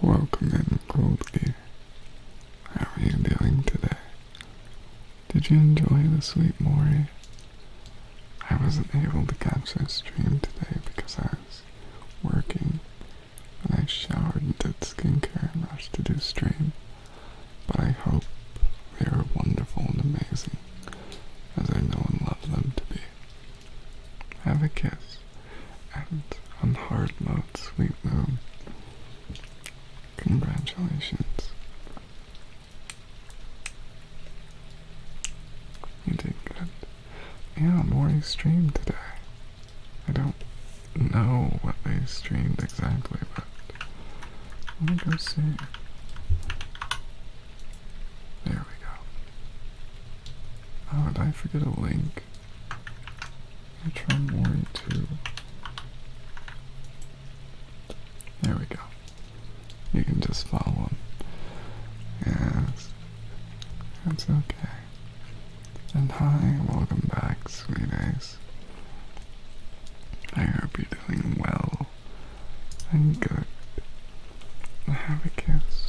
Welcome in, Cold Gear. How are you doing today? Did you enjoy the sleep, Mori? I wasn't able to catch this stream today because I was working and I showered and did skincare and rushed to do stream. But I hope they are wonderful and amazing as I know and love them to be. Have a kiss, and on hard mode, sweet moon. Congratulations. You did good. Yeah, Maury streamed today. I don't know what they streamed exactly, but let me go see. There we go. Oh, did I forget a link? i try Mori too. There we go. You can just follow him. Yes. That's okay. And hi, welcome back, sweeties. I hope you're doing well and good. Now have a kiss.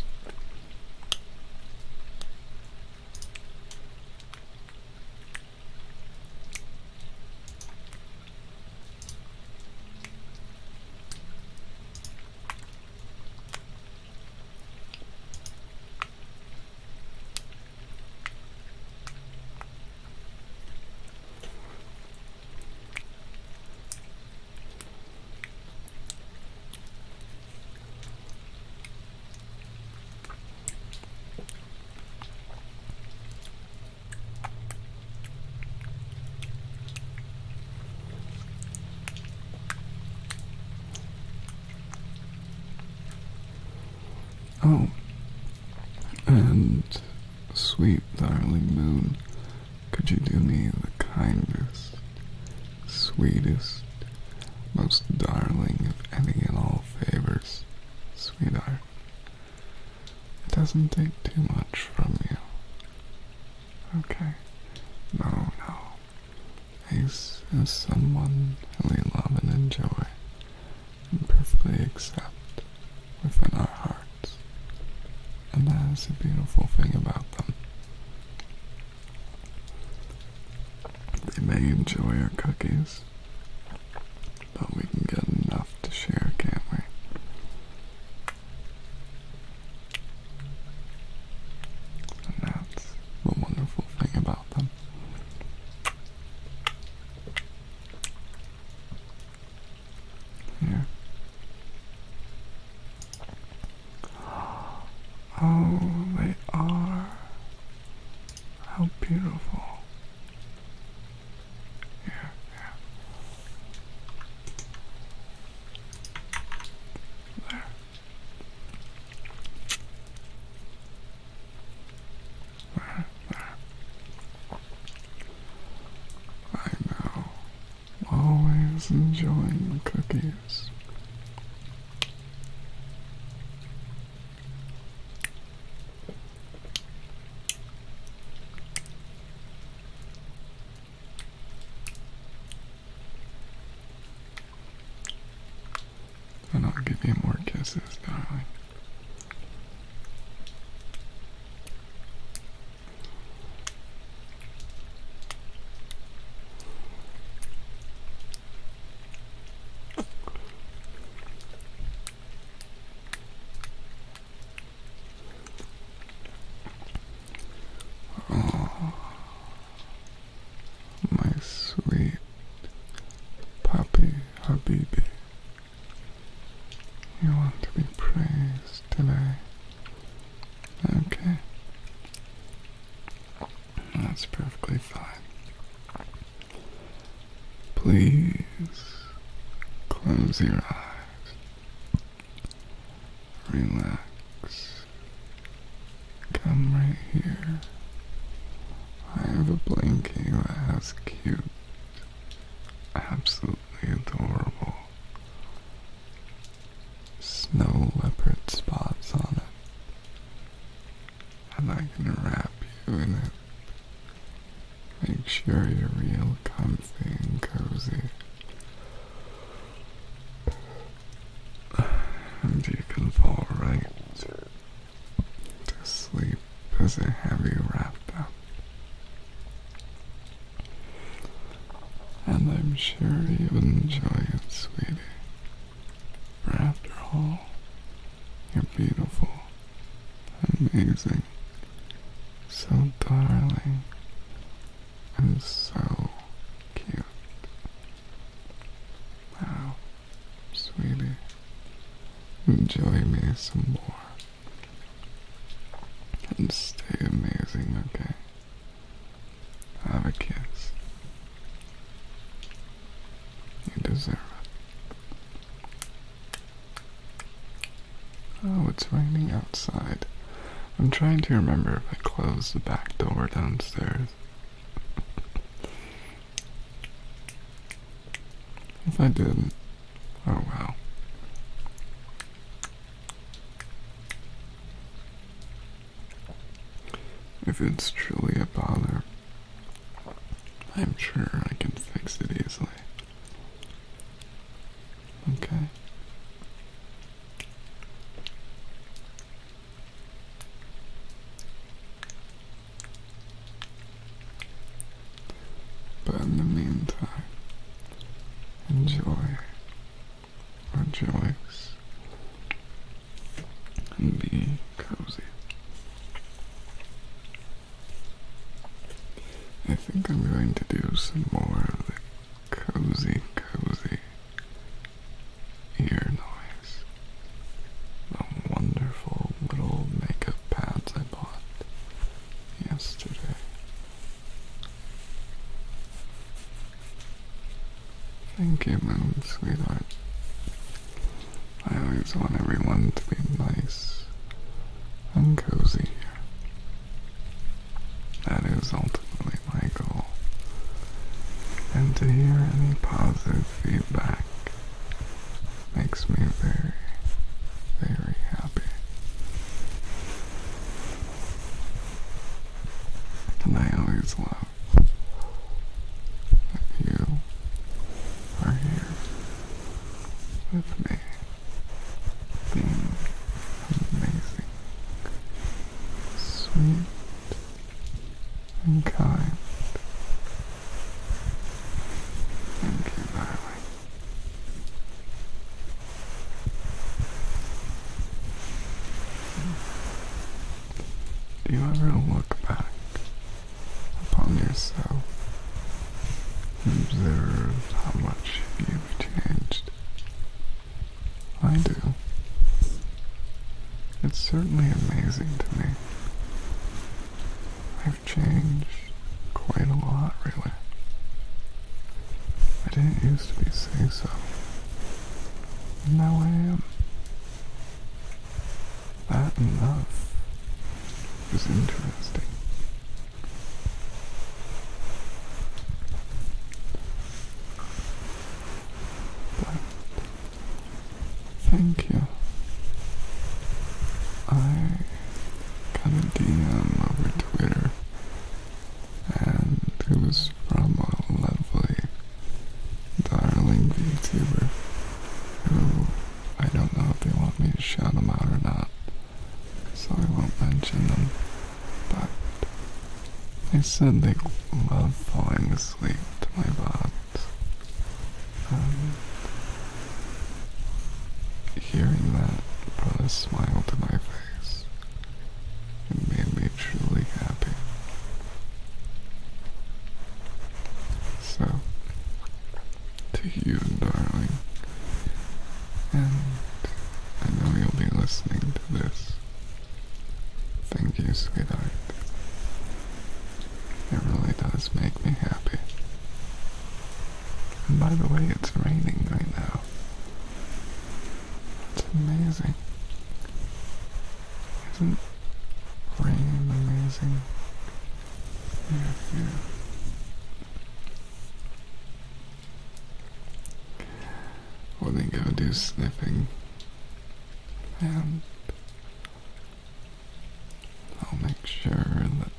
Oh, and sweet darling moon, could you do me the kindest, sweetest, most darling of any and all favors, sweetheart? It doesn't take too much from you. Okay. No, no. Ace is someone we love and enjoy and perfectly accept within our hearts. And that is the beautiful thing about them. They may enjoy our cookies, but we can get enough to share, can't we? And that's the wonderful thing about them. Yeah. Oh, they are. How beautiful. Here, here. There. There, there. I know, always enjoying cookies. And I'll give you more kisses, darling. Oh, my sweet puppy Habibi. You want to be praised today. Okay. That's perfectly fine. Please close your eyes. Relax. Come right here. I have a blankie that has cute, absolutely adorable snow leopard spots on it. i And gonna wrap you in it. Make sure you're real comfy and cozy. And you can fall right to sleep as a heavy wrap up. And I'm sure you would enjoy it, sweetie. For after all, you're beautiful, amazing, so darling, and so cute. Now, sweetie, enjoy me some more. And stay amazing, okay? Have a kiss. You deserve it. Oh, it's raining outside. I'm trying to remember if I closed the back door downstairs. If I didn't, Oh wow. If it's truly a bother, I'm sure I can fix it easily. Okay. But in the meantime, enjoy, rejoice, and be cozy. I think I'm going to do some more of the cozy, cozy ear noise. The wonderful little makeup pads I bought yesterday. Thank you, madam sweetheart. I always want everyone to be nice and cozy here. That is ultimately my goal. And to hear any positive feedback makes me very, very happy. And I always love you are here with me, being amazing, sweet, and kind. Thank you, darling. Do you ever look back upon yourself and observe how much you've changed? I do. It's certainly amazing to me. I've changed quite a lot, really. I didn't used to be saying so. Now I am. That enough? love is interesting. thank you. I got DM over Twitter and it was from a lovely, darling VTuber who I don't know if they want me to shout them out or not, so I won't mention them, but they said they love falling asleep to my bots. Um, hearing that brought a smile to my face. It made me truly happy. So, to you, darling, and I know you'll be listening to this. Thank you, sweetheart. It really does make me happy. And by the way, it's raining right now. It's amazing. Isn't rain amazing? Yeah, yeah. Well, go do sniffing. And I'll make sure that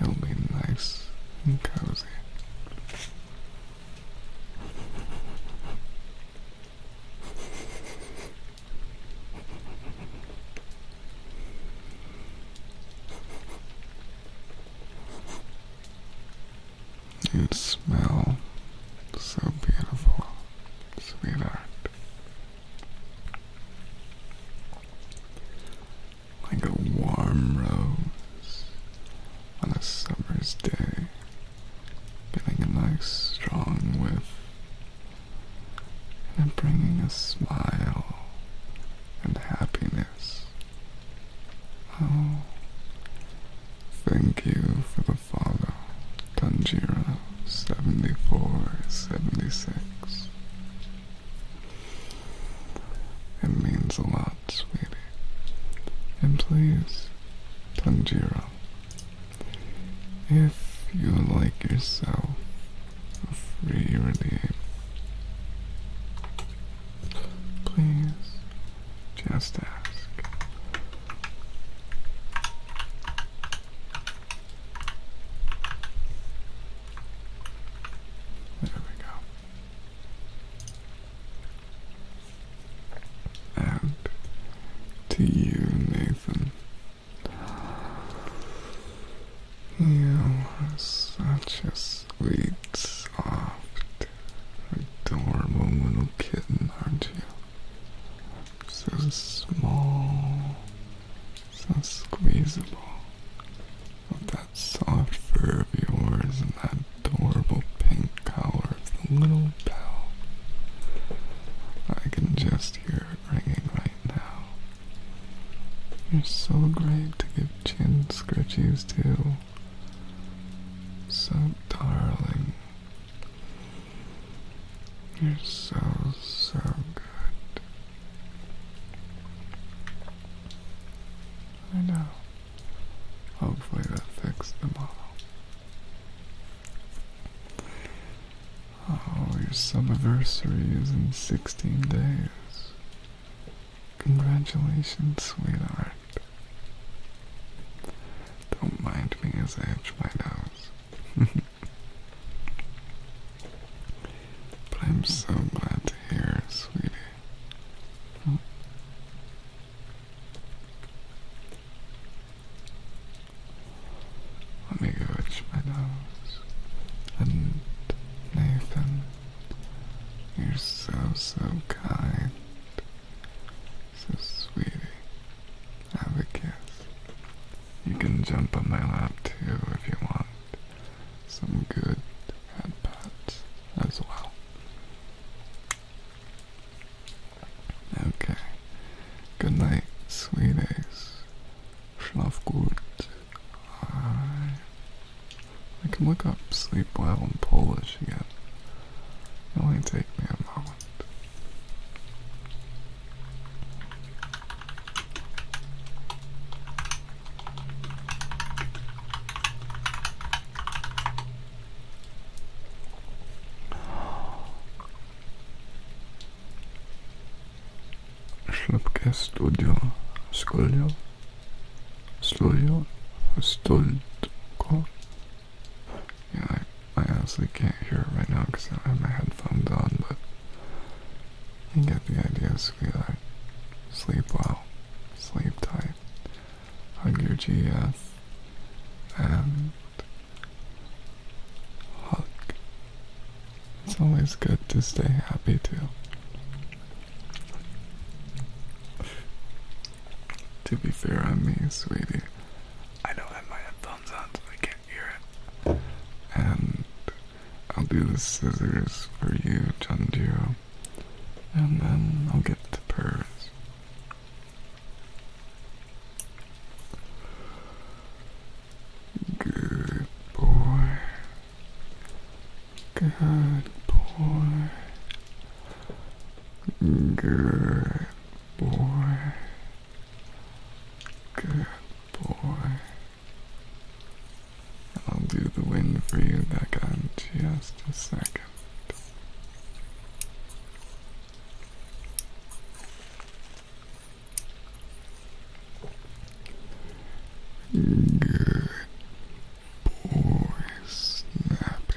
it'll be nice and cozy. You smell so beautiful, sweetheart like a warm rose on a summer's day, giving a nice strong whiff and bringing a smile and happiness. Oh, thank you for the follow, Tanjiro7476. It means a lot sweetie. And please, Tanjiro, if you like yourself free free rename, please just ask. There we go. And to you, Nathan. You are such a sweet, soft, adorable little kitten, aren't you? So small, so squeezable, of that soft fur of yours and that adorable pink collar of the little bell. I can just hear it ringing right now. You're so great to give chin scratches to. So darling. You're so, so good. I know. Hopefully that fixes them all. Oh, your summiversary is in 16 days. Congratulations, sweetheart. Don't mind me as I itch my nose. but I'm so glad to hear, sweetie, let me go my nose. And Nathan, you're so, so kind. So sweetie. Have a kiss. You can jump on my lap too if you want. Some good head pats as well. Okay. Good night, sweeties. Schlaf gut. I, can look up sleep well in Polish again. It only take me a moment. Szlepkę studio, studio, studio, studio. Yeah, I, I honestly can't hear it right now because I have my headphones on, but you get the idea. So like, sleep well, sleep tight. Hug your GF, and Hug. It's always good to stay happy too. To be fair on me, sweetie, I don't have my headphones on so I can't hear it. And I'll do the scissors for you, Chanjiro and then I'll get to Paris. Good boy. Good boy. Good boy. Good boy. I'll do the wind for you that got just a second. Good boy, Snappy.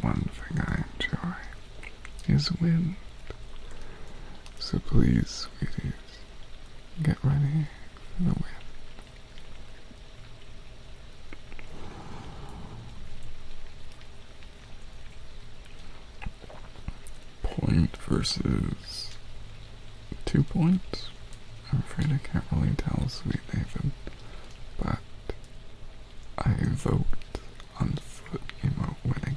one thing I enjoy is wind. So please, sweeties, get ready for the wind. Point versus two points? I'm afraid I can't really tell, sweet Nathan, but I invoked on the foot emote winning.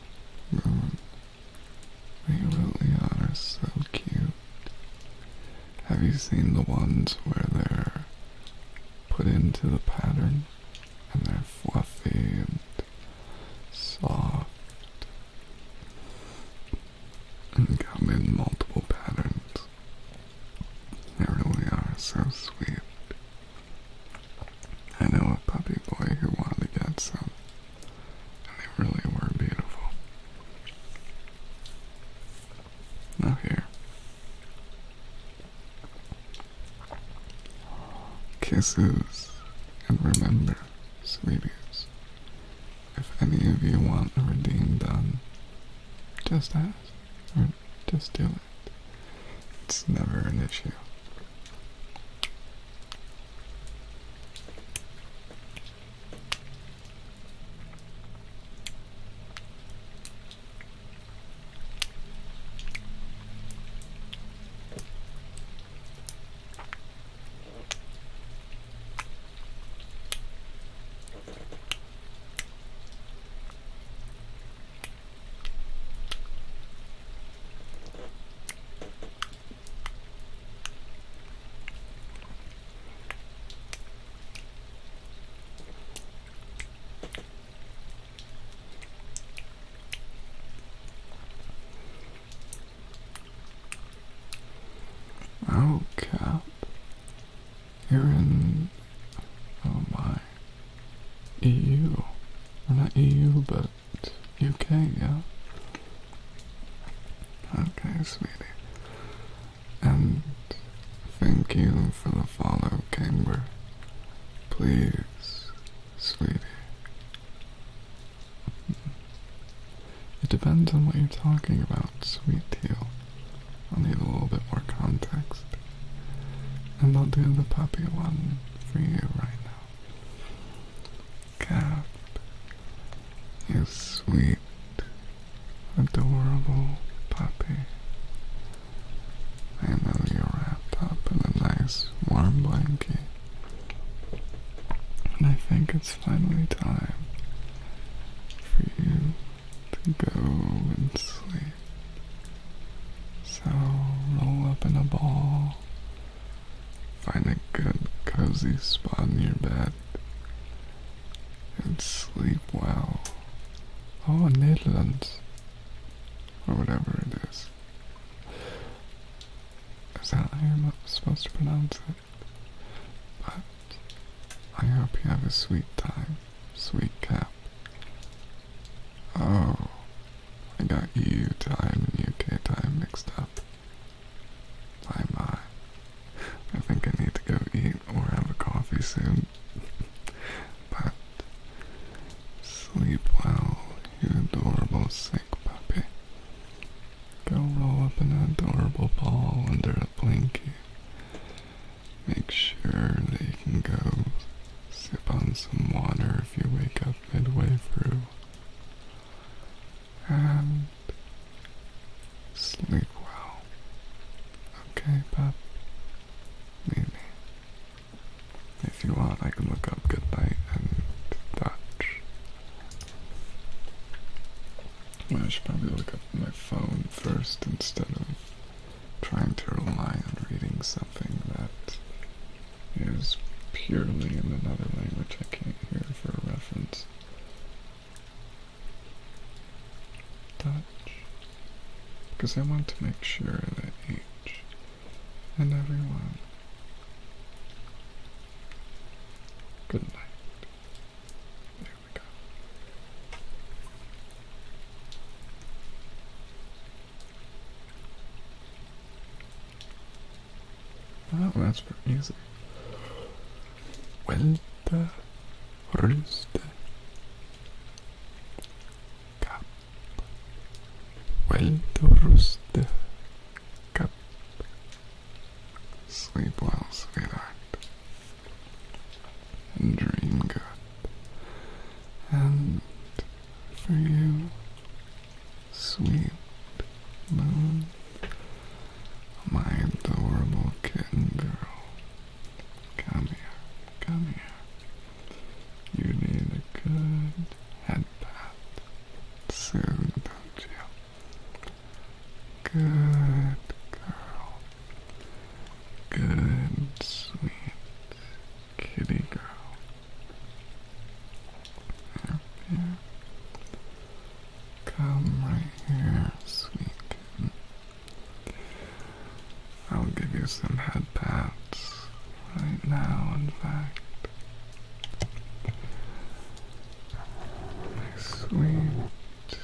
they really are so cute. Have you seen the ones where they're put into the pattern and they're fluffy and soft and come in multiple patterns? They really are so sweet. I know a puppy boy who wanted to get some, they really were beautiful. Now here. Kisses, and remember, sweeties, if any of you want a redeem done, just ask, or just do it. It's never an issue. Oh, Cap. You're in. Oh my. EU. Or not EU, but England, UK, yeah. Okay, sweetie. And thank you for the follow, Camber. Please, sweetie. It depends on what you're talking about, sweetie. i need a little bit more context. And I'll do the puppy one for you right now. Cap, you sweet, adorable puppy. I know you're wrapped up in a nice warm blanket, and I think it's finally time for you to go and sleep. So roll up in a ball Find a good cozy spot in your bed and sleep well. Oh, Netherlands. Or whatever it is. Is that how you're supposed to pronounce it? But I hope you have a sweet time, sweet cap. Oh, I got EU time and UK time mixed up. Bye bye. I think I need to go eat or have a coffee soon. but sleep well, you adorable sick puppy. Go roll up an adorable ball under a blanket. Make sure they can go sip on some water if you wake up midway through, and sleep well. Okay, pup? Leave me. If you want, I can look up goodnight and touch. Well, I should probably look up my phone first instead of trying to rely on reading something that is purely in another language I can't hear for reference. Dutch. Because I want to make sure that each and everyone. Good night. There we go. Oh, that's pretty easy. Vuelta, rooster, cap. Vuelta, rooster, cap. Sleep well, sweetheart. And dream good. And for you, Sweet moon, my adorable kitten girl. Come here, come here. You need a good head pat soon, don't you? Good girl. Good, sweet, Kitty girl. Come right here, sweet I'll give you some head pats right now, in fact. My sweet,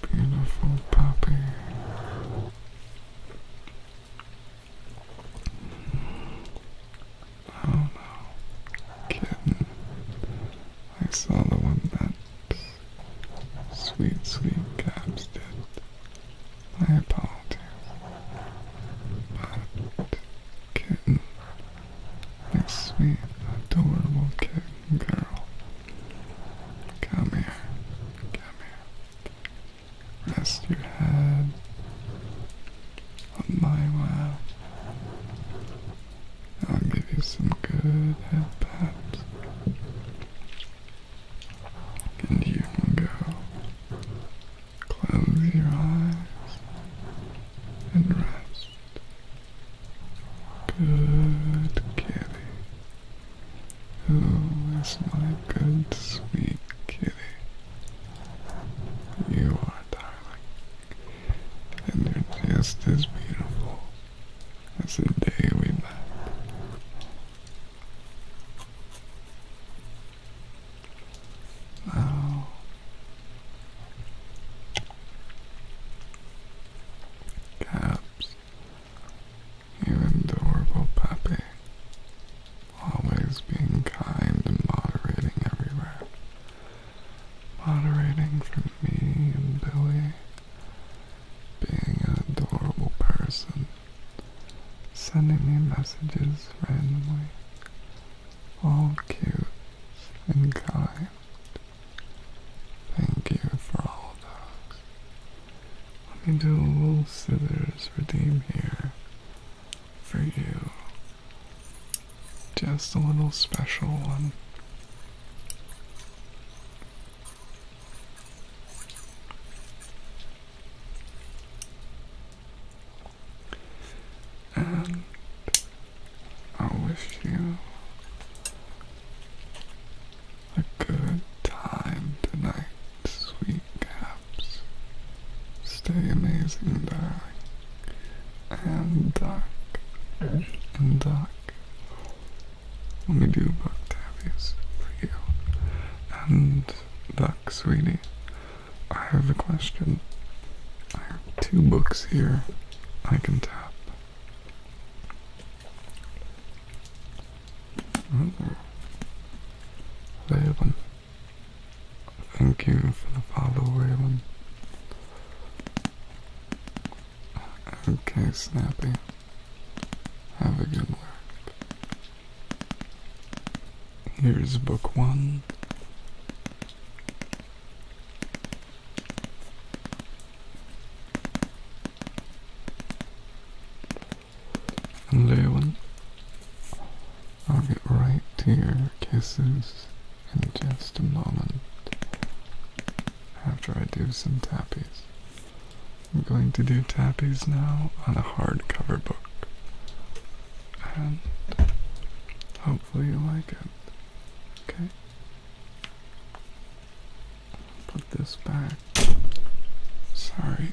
beautiful puppy. Oh no, kitten. I saw the one that sweet, sweet cabs did. I apologize. But kitten, my sweet, adorable kitten girl. Come here, come Rest your head on my lap. I'll give you some good head pats. And you can go. Close your eyes and rest. Good kitty. oh, it's my good sweet kitty? You are darling, and you're just as beautiful as the day we met. Now, oh. Caps, you adorable puppy always being kind and moderating everywhere. Moderating for me and Billy, being an adorable person, sending me messages randomly, all cute and kind. Thank you for all of those. Let me do a little scissors redeem here for you. Just a little special one. And I wish you a good time tonight, sweet Stay amazing dark and dark and dark. Let me do book tabbies for you. And duck, sweetie, I have a question. I have two books here I can tap. Oh. Thank you for the follow, Raven. Okay, Snappy. Have a good work. Here's book one. Leon. I'll get right to your kisses in just a moment. After I do some tappies. I'm going to do tappies now on a hardcover book. And hopefully you like it. Okay? Put this back. Sorry.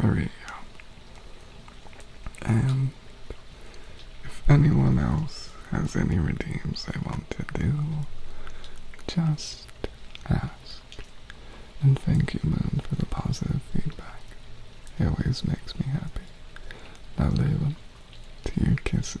There we go. And if anyone else has any redeems they want to do, just ask. And thank you, Moon, for the positive feedback. It always makes me happy. Now, Layla, to your kisses.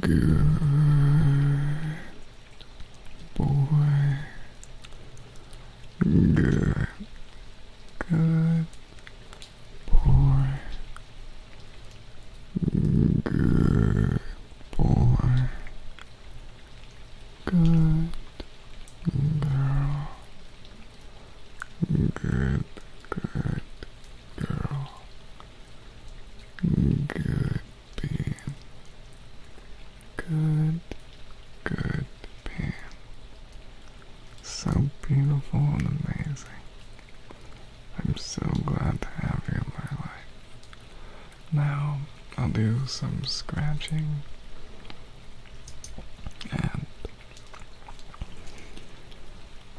Good boy. Good. Good boy. Good boy. Good girl. Good, good girl. Good bean. Good, good bean. So beautiful and amazing. I'm so glad to have you in my life. Now I'll do some scratching and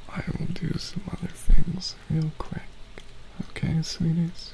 I will do some other things real quick. Okay, sweeties?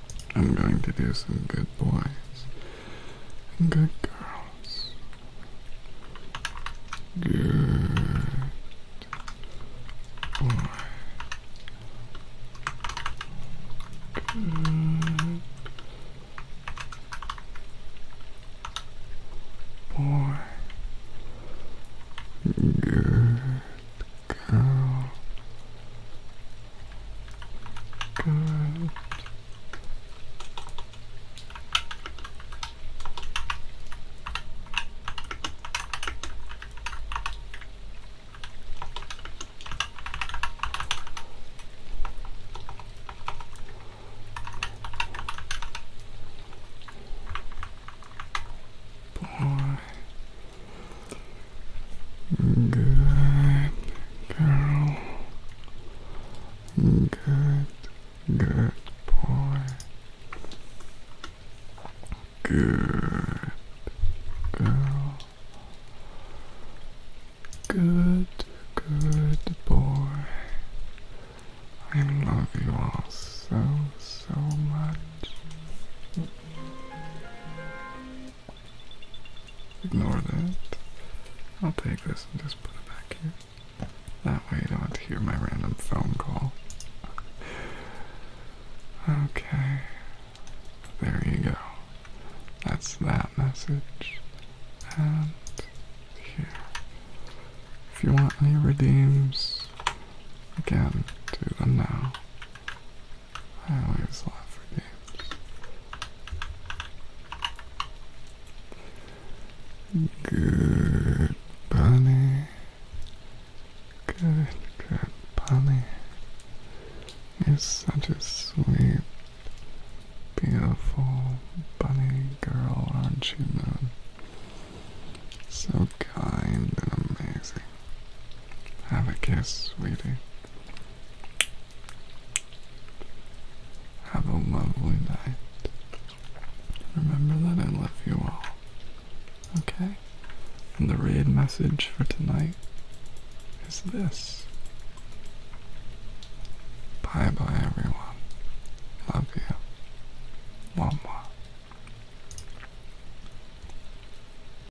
I'm going to do some good boys and good girls. Good boy. boy. Good Go. Good. Boy. Good girl. Good, good boy. Good girl. Good, good boy. I love you all so, so much. Ignore that. I'll take this and just put it back here. That way you don't have to hear my random phone call. Okay. There you go. That's that message. And here. If you want any redeems, again, do them now. Highlights lot for games. Good bunny. Good, good bunny. You're such a sweet, beautiful bunny girl, aren't you, Moon? So kind and amazing. Have a kiss, sweetie. Have a lovely night. Remember that I love you all. Okay? And the raid message for tonight is this. Bye bye, everyone. Love you. Mwah, mwah.